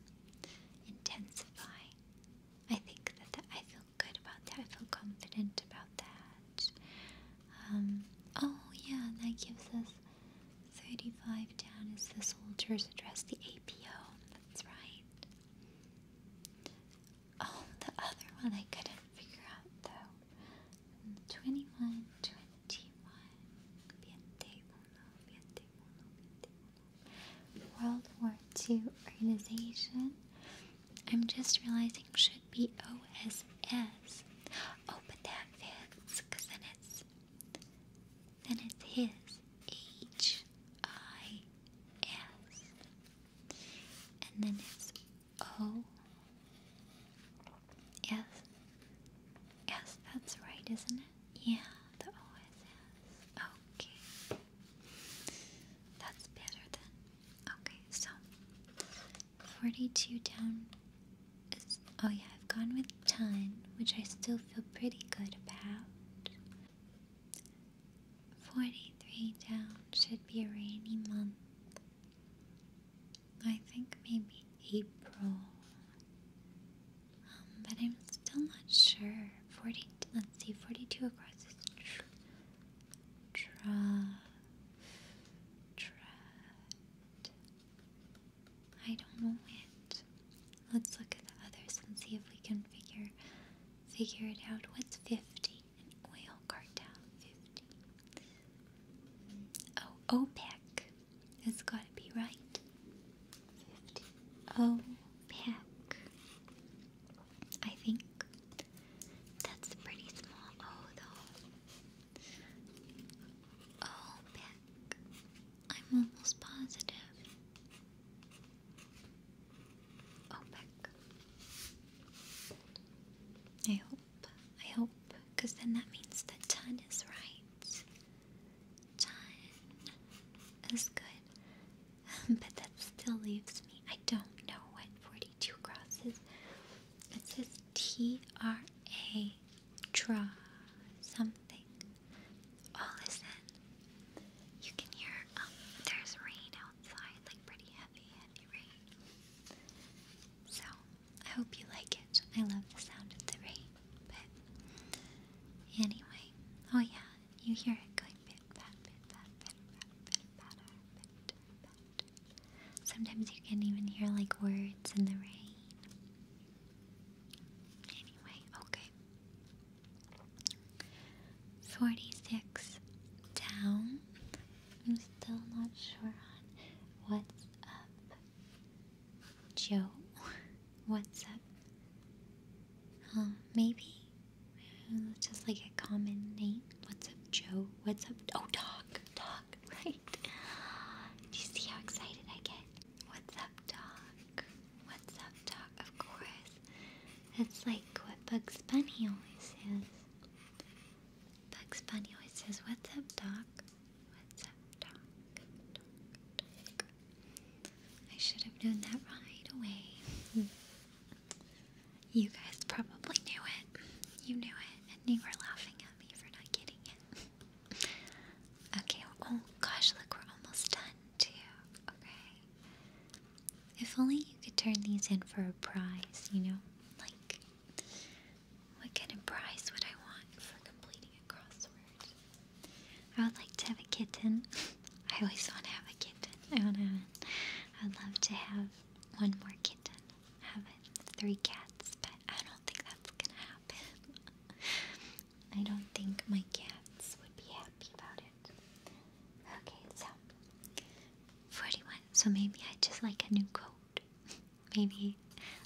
intensify. I think that I feel good about that. I feel confident about that. Um, oh yeah, that gives us 35 down as the soldiers address the APO. That's right. Oh, the other one I couldn't figure out though. 21, 21. World War II organization. I'm just realizing should be OSS. Oh, that fits because then it's then it's his H I S. And then it's O S. Yes, that's right, isn't it? Yeah, the O S S. Okay. That's better then. Okay, so 42 down oh yeah, I've gone with ton, which I still feel pretty good about. 43 down should be a rainy month. I think maybe April. Um, but I'm still not sure. 40, let's see, 42 across is tr I don't know it. Let's look at the others and see if we can figure figure it out. What's fifty? oil cartel. Fifty. Oh, OPEC. that has got to be right. Fifty. OPEC. I think that's pretty small. O oh, though. OPEC. I'm almost positive. OPEC. Oh, I hope. I hope. Because then that means the ton is right. Ton is good. but that still leaves me. I don't know what 42 crosses. It says T R A draw something. Oh, listen. You can hear, um, there's rain outside, like pretty heavy, heavy rain. So, I hope you like it. I love the sound of the rain, but anyway. Oh, yeah, you hear it going bit, pat, bit, pat, bit, pat, bit, patter, bit, pat. Sometimes you can even hear like words in the rain. Anyway, okay. 46 down. I'm still not sure on what's up. Joe, what's up? Um, maybe just like a common name. What's up, Joe? What's up? Oh, dog, dog, right? right. Do you see how excited I get? What's up, dog? What's up, dog? Of course. That's like what Bugs Bunny always says. Bugs Bunny always says, What's up, Doc? What's up, Doc?" I should have known that right away. you guys probably knew it. You knew it, and you were laughing at me for not getting it. Okay, oh gosh, look, we're almost done too. Okay. If only you could turn these in for a prize, you know? Like, what kind of prize would I want for completing a crossword? I would like to have a kitten. I always want to have a kitten. I want to I'd love to have one more kitten. Have it. Three cats but I don't think that's gonna happen. I don't think my cats would be happy about it. Okay, so 41. So maybe I just like a new coat. maybe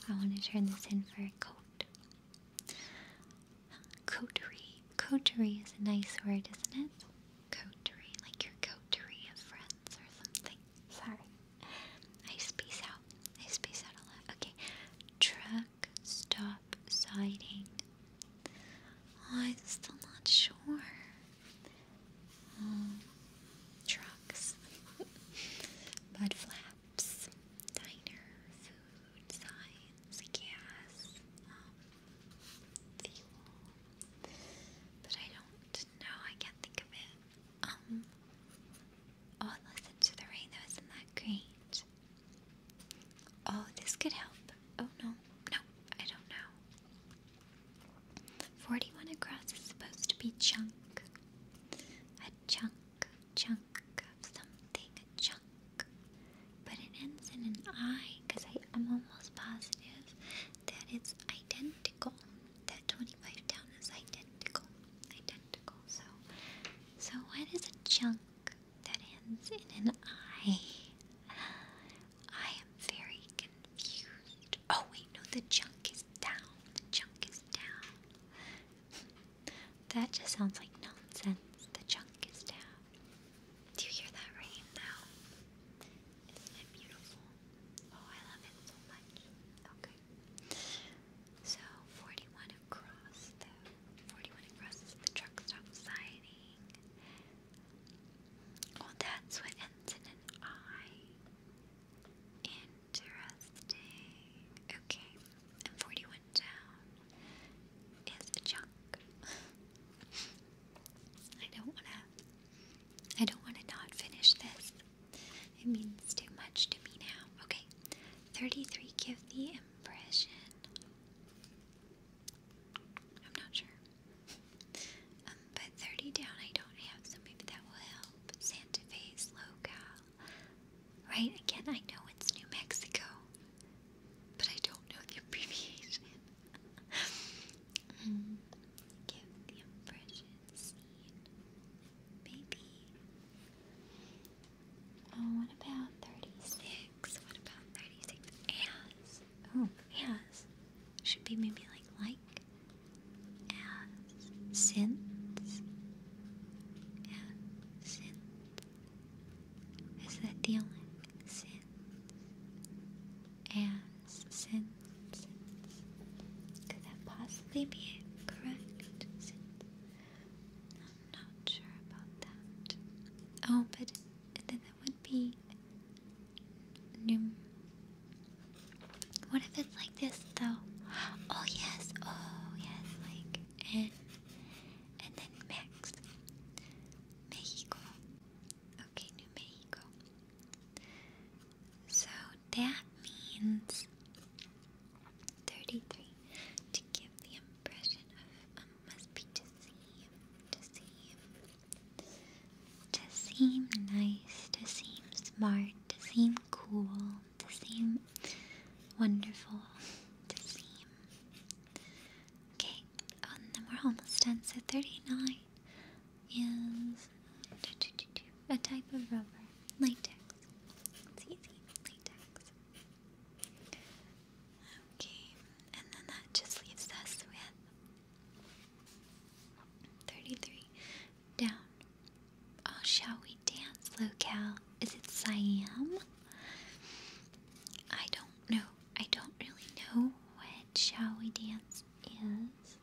I want to turn this in for a coat. Coterie. Coterie is a nice word, isn't it? Coterie, like your coterie of friends or something. Sorry. I space Oh, I space out a lot. Okay. Truck stop siding. Oh, I'm still not sure. Um, trucks. Mud flaps. Diner. Food. Signs. Gas. Um, fuel. But I don't know. I can't think of it. Um, Oh, listen to the rain, though. Isn't that great? Oh, this could help. Oh, no. No, I don't know. 41 across is supposed to be chunk. A chunk, chunk of something, a chunk. But it ends in an I because I'm almost positive that it's identical. That 25 down is identical. Identical. So so, what is a chunk that ends in an I? I am very confused. Oh, wait, no, the chunk is down. The chunk is down. that just sounds like nonsense. The chunk is down. Do you hear that rain, now? Isn't it beautiful? Oh, I love it so much. So, 41 across, 41 across is the truck stop siding. Oh, that's what ends in an I. Interesting. Okay. And 41 down is a chunk. I don't want to, I don't want to not finish this. It means too much to me now. Okay. 33 give the impression. I'm not sure. Um, but 30 down I don't have, so maybe that will help. Santa Fe's locale. Right, again, I know it's New Mexico, but I don't know the abbreviation. give the impression scene. Oh, what about 36? What about 36? As. Oh, as. Should be maybe like like. As. Since. As. Since. Is that dealing? Since. As. Since. Could that possibly be correct? Since. Not not sure about that. Oh, but then that would be New. What if it's like this though? Oh yes, oh yes, like N, and then Mex, Mexico. Okay, New Mexico. So that means Thirty-three. To give the impression of um, must be to seem, to seem, to seem nice, to seem smart, to seem cool, to seem wonderful, to seem. Okay, and then we're almost done. So thirty-nine is a type of rubber, latex. It's easy, latex. Okay, and then that just leaves us with 33 down. Oh, shall we dance, locale? Is it Siam? I don't know. I don't really know what shall we dance is.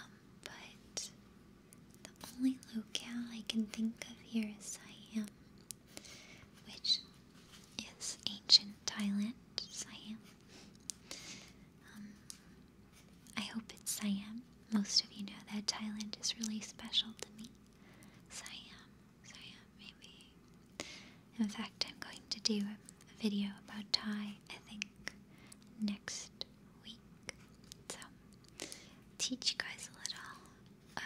Um, but the only locale I can think of here is Siam which is ancient Thailand, Siam. Um, I hope it's Siam. Most of you know that Thailand is really special to me. Siam, Siam, maybe. In fact, I'm going to do a video about Thai, I think, next week. So, teach you guys a little um,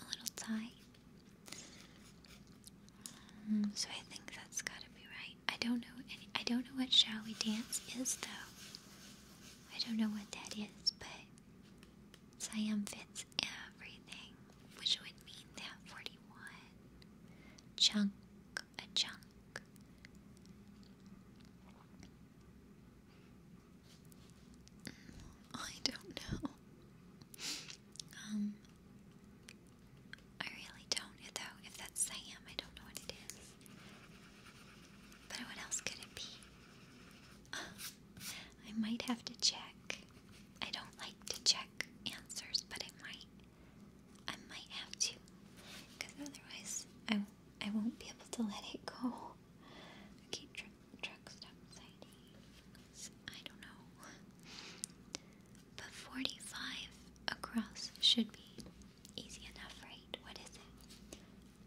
a little tie. Um, so I think that's gotta be right. I don't know any, I don't know what shall we dance is though. I don't know what that is, but Siam fits everything, which would mean that 41 chunk, a chunk. I don't know. Um, I really don't, though. If that's Sam, I don't know what it is. But what else could it be? I might have to check. I don't like to check answers, but I might. I might have to, because otherwise I, I won't be able to let it go. I keep tripping truck stop sightings. I don't know. But 45 across should be easy enough, right? What is it?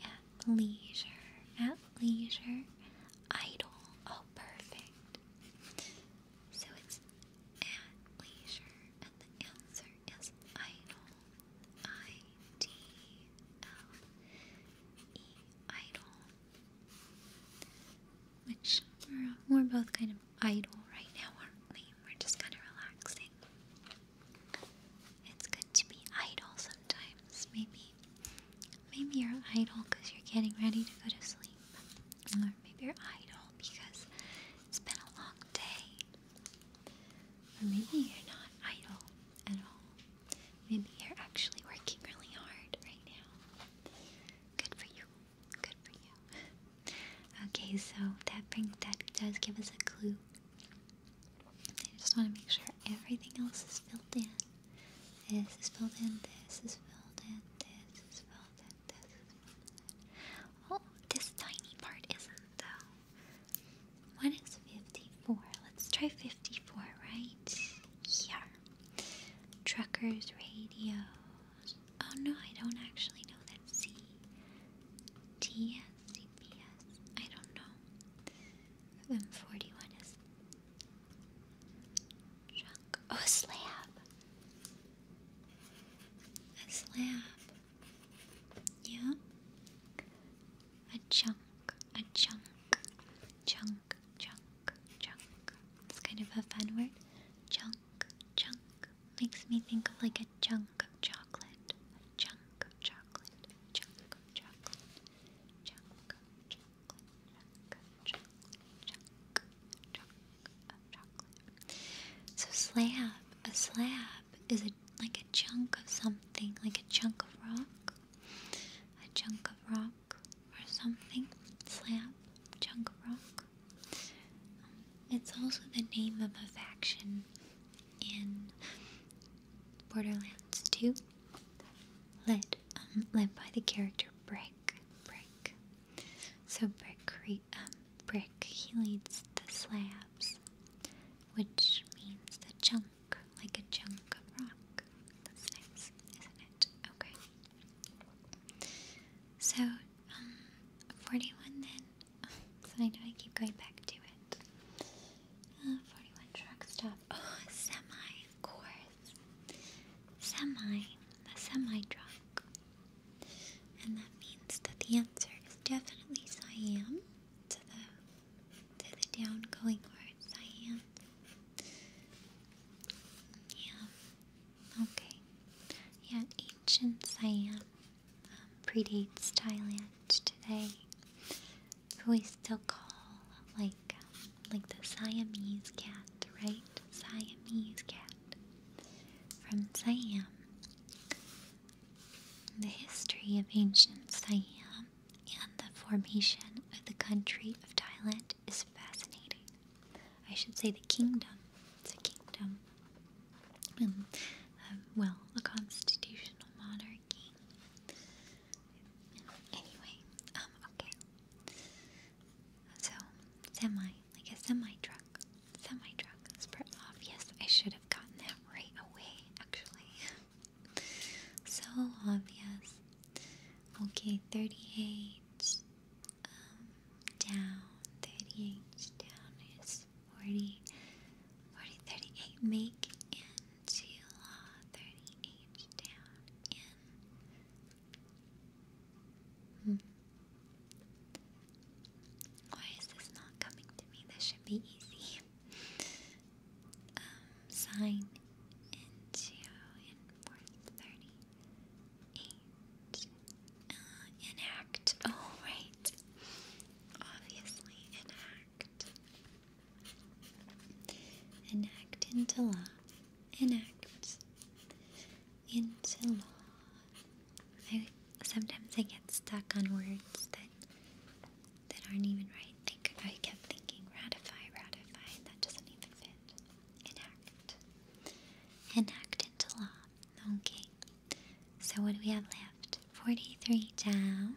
At leisure. At leisure. Idle. Oh, perfect. So it's at leisure, and the answer is idle. I D L E idle we're, we're both kind of idle right now, aren't we? We're just kind of relaxing. It's good to be idle sometimes. Maybe, maybe you're idle because you're getting ready to go to sleep, or maybe you're idle because it's been a long day, or maybe you're not idle at all. Maybe you're actually working really hard right now. Good for you. Good for you. okay, so that brings that does give us a clue. I just want to make sure everything else is filled in. This is filled in. This is filled in. This is filled in. This is filled in. Oh, this tiny part isn't though. What is 54? Let's try 54, right? Yeah. Truckers, radios. Oh no, I don't actually know that C. don't know. M41 is truck. Oh, a slab. A slab. Yeah. A chunk. A chunk. Chunk chunk, chunk, It's kind of a fun word. Chunk, chunk. Makes me think of like a chunk of chocolate. A chunk of chocolate. Chunk of chocolate. Chunk of chocolate. Chunk chocolate. Chunk, chunk of chocolate. So slab. A slab is a like a chunk of something, like a chunk of rock. A chunk of rock or something, slab, chunk rock. Um, it's also the name of a faction in Borderlands 2, led um, led by the character Brick. Brick. So Brick, um, Brick, he leads the slabs, which means the chunk like a chunk rock. That's nice, isn't it? Okay. So, um, 41 then. so I know I keep going back to it. Uh, 41 truck stop. Oh, semi, of course. Semi, the semi truck. And that means that the answer is definitely Siam to the to the down going word Siam. Yeah. Okay. Yeah, ancient Siam um, predates Thailand today. Who we still call like um, like the Siamese cat, right? Siamese cat from Siam. The history of ancient Siam and the formation of the country of Thailand is fascinating. I should say the kingdom. It's a kingdom. And, um, um, well, a constitutional monarchy. Anyway, um, okay. So, semi, like a semi truck. Semi truck. It's pretty obvious. I should have gotten that right away, actually. so obvious. Okay, 38 um, down, 38 down is 40, 40, 38 make into law, uh, 38 down in. Hmm. Why is this not coming to me? This should be easy. Um, sign into in uh, enact. Oh right, obviously enact. Enact into law. Enact into law. I sometimes I get stuck on words that that aren't even right. I, I kept thinking ratify, ratify. That doesn't even fit enact, enact into law. Okay. So what do we have left? Forty-three down.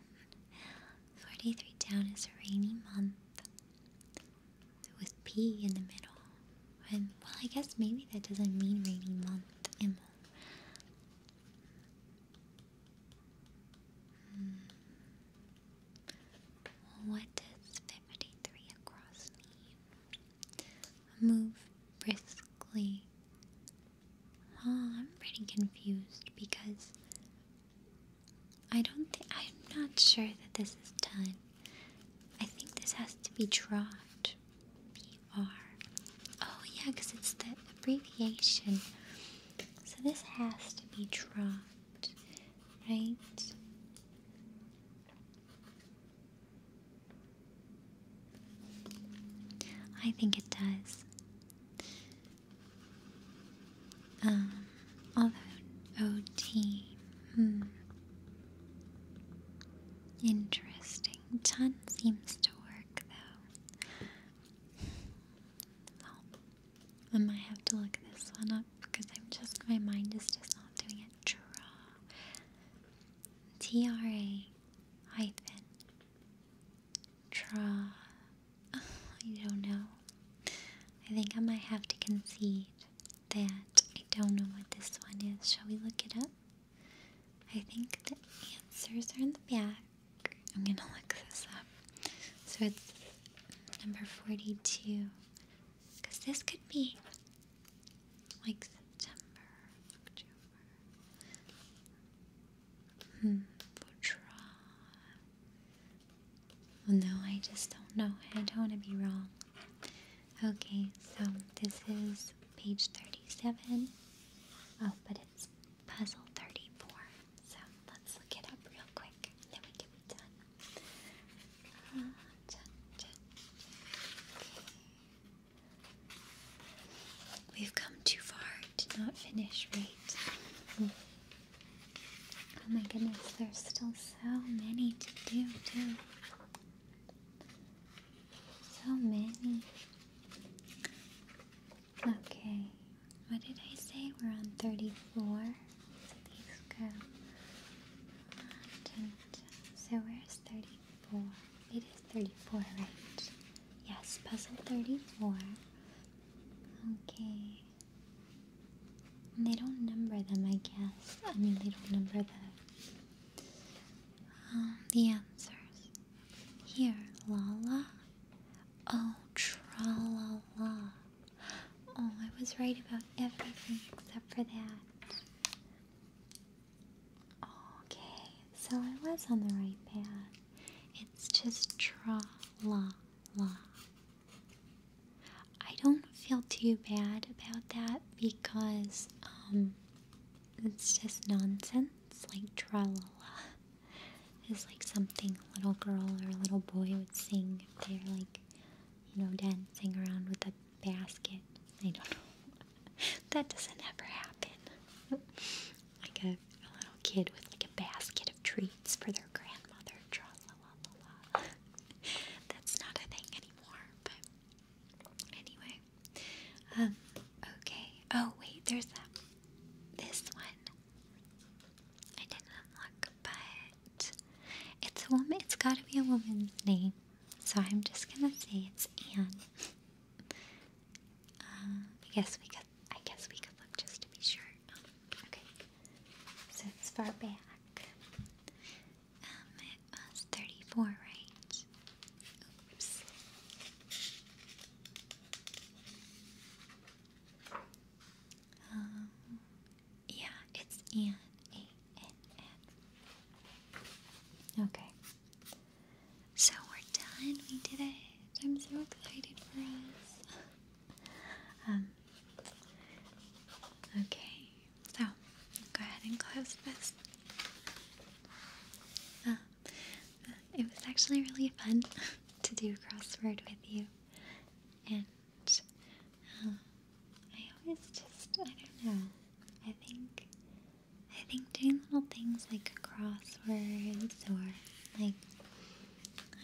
Forty-three down is a rainy month with P in the middle. And well, I guess maybe that doesn't mean rainy month. Immo. Mm. What does 53 across mean? Move briskly. Oh, I'm pretty confused because I don't I'm not sure that this is done. I think this has to be trot. PR. Oh yeah, because it's the abbreviation. So this has to be trot right, I think it does. Um, OT, oh, hmm. Interesting. Ton seems to work though. I might have to look this one up because I'm just, my mind is just not doing it. Tra. T-R-A hyphen. draw. I don't know. I think I might have to concede that I don't know what this one is. Shall we look it up? I think the answers are in the back. I'm gonna look this up. So it's number 42. Because this could be like September, October. Hmm, Well, no, I just don't know. I don't want to be wrong. Okay, so this is page 37. Oh, but it's puzzle 34. So let's look it up real quick. There we go, we're We've come too far to not finish, right? Oh my goodness, there's still so many to do, So many. Okay, what did I say? We're on 34 so where's 34? It is 34, right? Yes, puzzle 34. Okay. they don't number them, I guess. I mean, they don't number the, um, the answers. Here, Lala. Oh, tra-la-la. Oh, I was right about everything except for that. Okay, so I was on the right path. It's just tra la la. I don't feel too bad about that because um it's just nonsense. Like tra la la is like something a little girl or a little boy would sing if they're like you know, dancing around with a basket. I don't know. that doesn't ever happen. like a, little kid with like a basket of treats for their grandmother. Tra la la la That's not a thing anymore, anyway. Um, okay. Oh, wait, there's that. This one. I didn't look, but it's a woman. It's got to be a woman's name, so I'm just gonna say it's Anne. Um, I guess we could. I guess we could look just to be sure. okay. So it's far back. Um, it was thirty-four, right? Oops. Um, yeah, it's Ann. Okay. So we're done. We did it. I'm so excited for us. um, okay, so go ahead and close this. Uh, it was actually really fun to do crossword with you. And I always just I don't know. I think I think doing little things like crosswords or like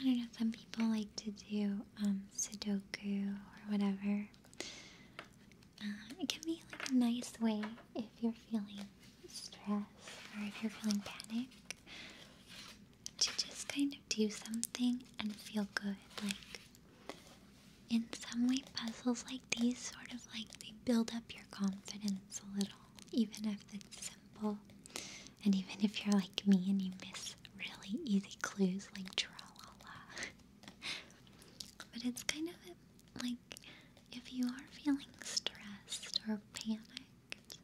I don't know, some people like to do um, Sudoku or whatever. Uh, it can be like a nice way if you're feeling stressed or if you're feeling panic to just kind of do something and feel good. Like in some way puzzles like these sort of like they build up your confidence a little even if it's simple and even if you're like me and you miss really easy clues like tra-la-la but it's kind of like if you are feeling stressed or panicked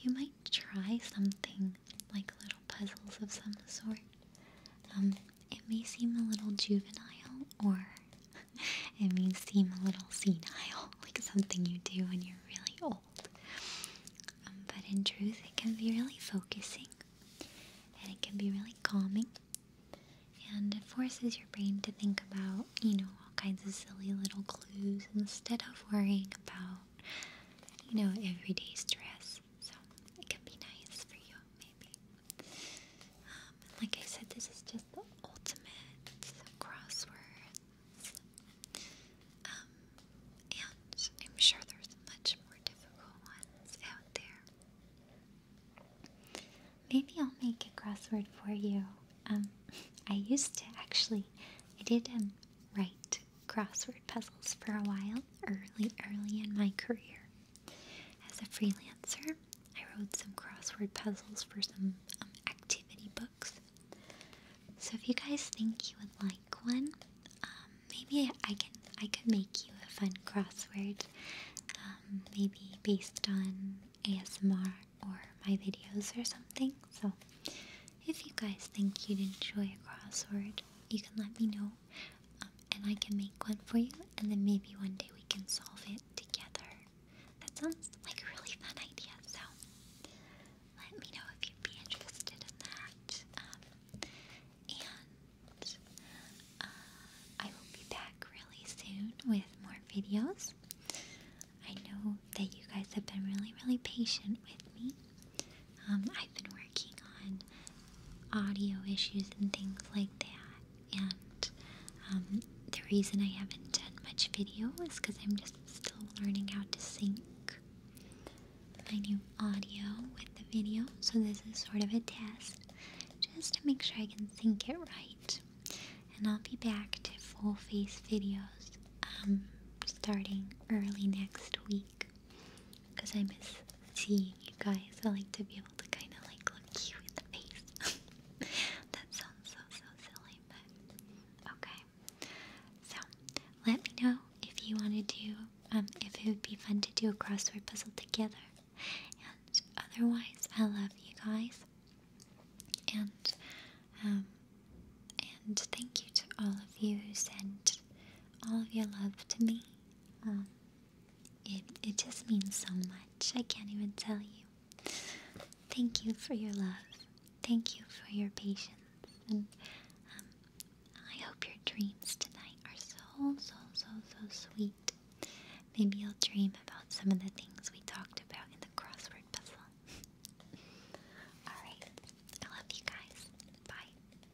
you might try something like a little puzzles of some sort. Um, it may seem a little juvenile, or it may seem a little senile, like something you do when you're really old. Um, but in truth, it can be really focusing, and it can be really calming, and it forces your brain to think about, you know, all kinds of silly little clues instead of worrying about, you know, everyday stress so it can be nice for you, maybe. Um, like I said, this is just the ultimate crosswords, um, and I'm sure there's much more difficult ones out there. Maybe I'll make a crossword for you. Um, I used to actually, I did um, write crossword puzzles for a while early, early in my career. As a freelancer, I wrote some crossword puzzles for some um, activity books. So if you guys think you would like one, um, maybe I can I could make you a fun crossword, um, maybe based on ASMR or my videos or something. So if you guys think you'd enjoy a crossword, you can let me know um, and I can make one for you, and then maybe one day we can solve it together. That sounds like a really fun idea, so let me know if you'd be interested in that. Um, and uh, I will be back really soon with more videos. I know that you guys have been really, really patient with me. Um, I've been working on audio issues and things like that, and um, the reason I haven't done much video is because I'm just still learning how to sync my new audio with the video, so this is sort of a test just to make sure I can sync it right. And I'll be back to full face videos um, starting early next week because I miss seeing you guys. I like to be able to kind of like look you in the face. that sounds so so silly, but okay. So let me know if you want to do, um, if it would be fun to do a crossword puzzle together. And otherwise, I love you guys. And um, and thank you to all of you who sent all of your love to me. Um, it, it just means so much. I can't even tell you. Thank you for your love. Thank you for your patience. And um, I hope your dreams tonight are so, so, so, so sweet. Maybe i will dream about some of the things we talked about in the crossword puzzle. Alright, I love you guys. Bye.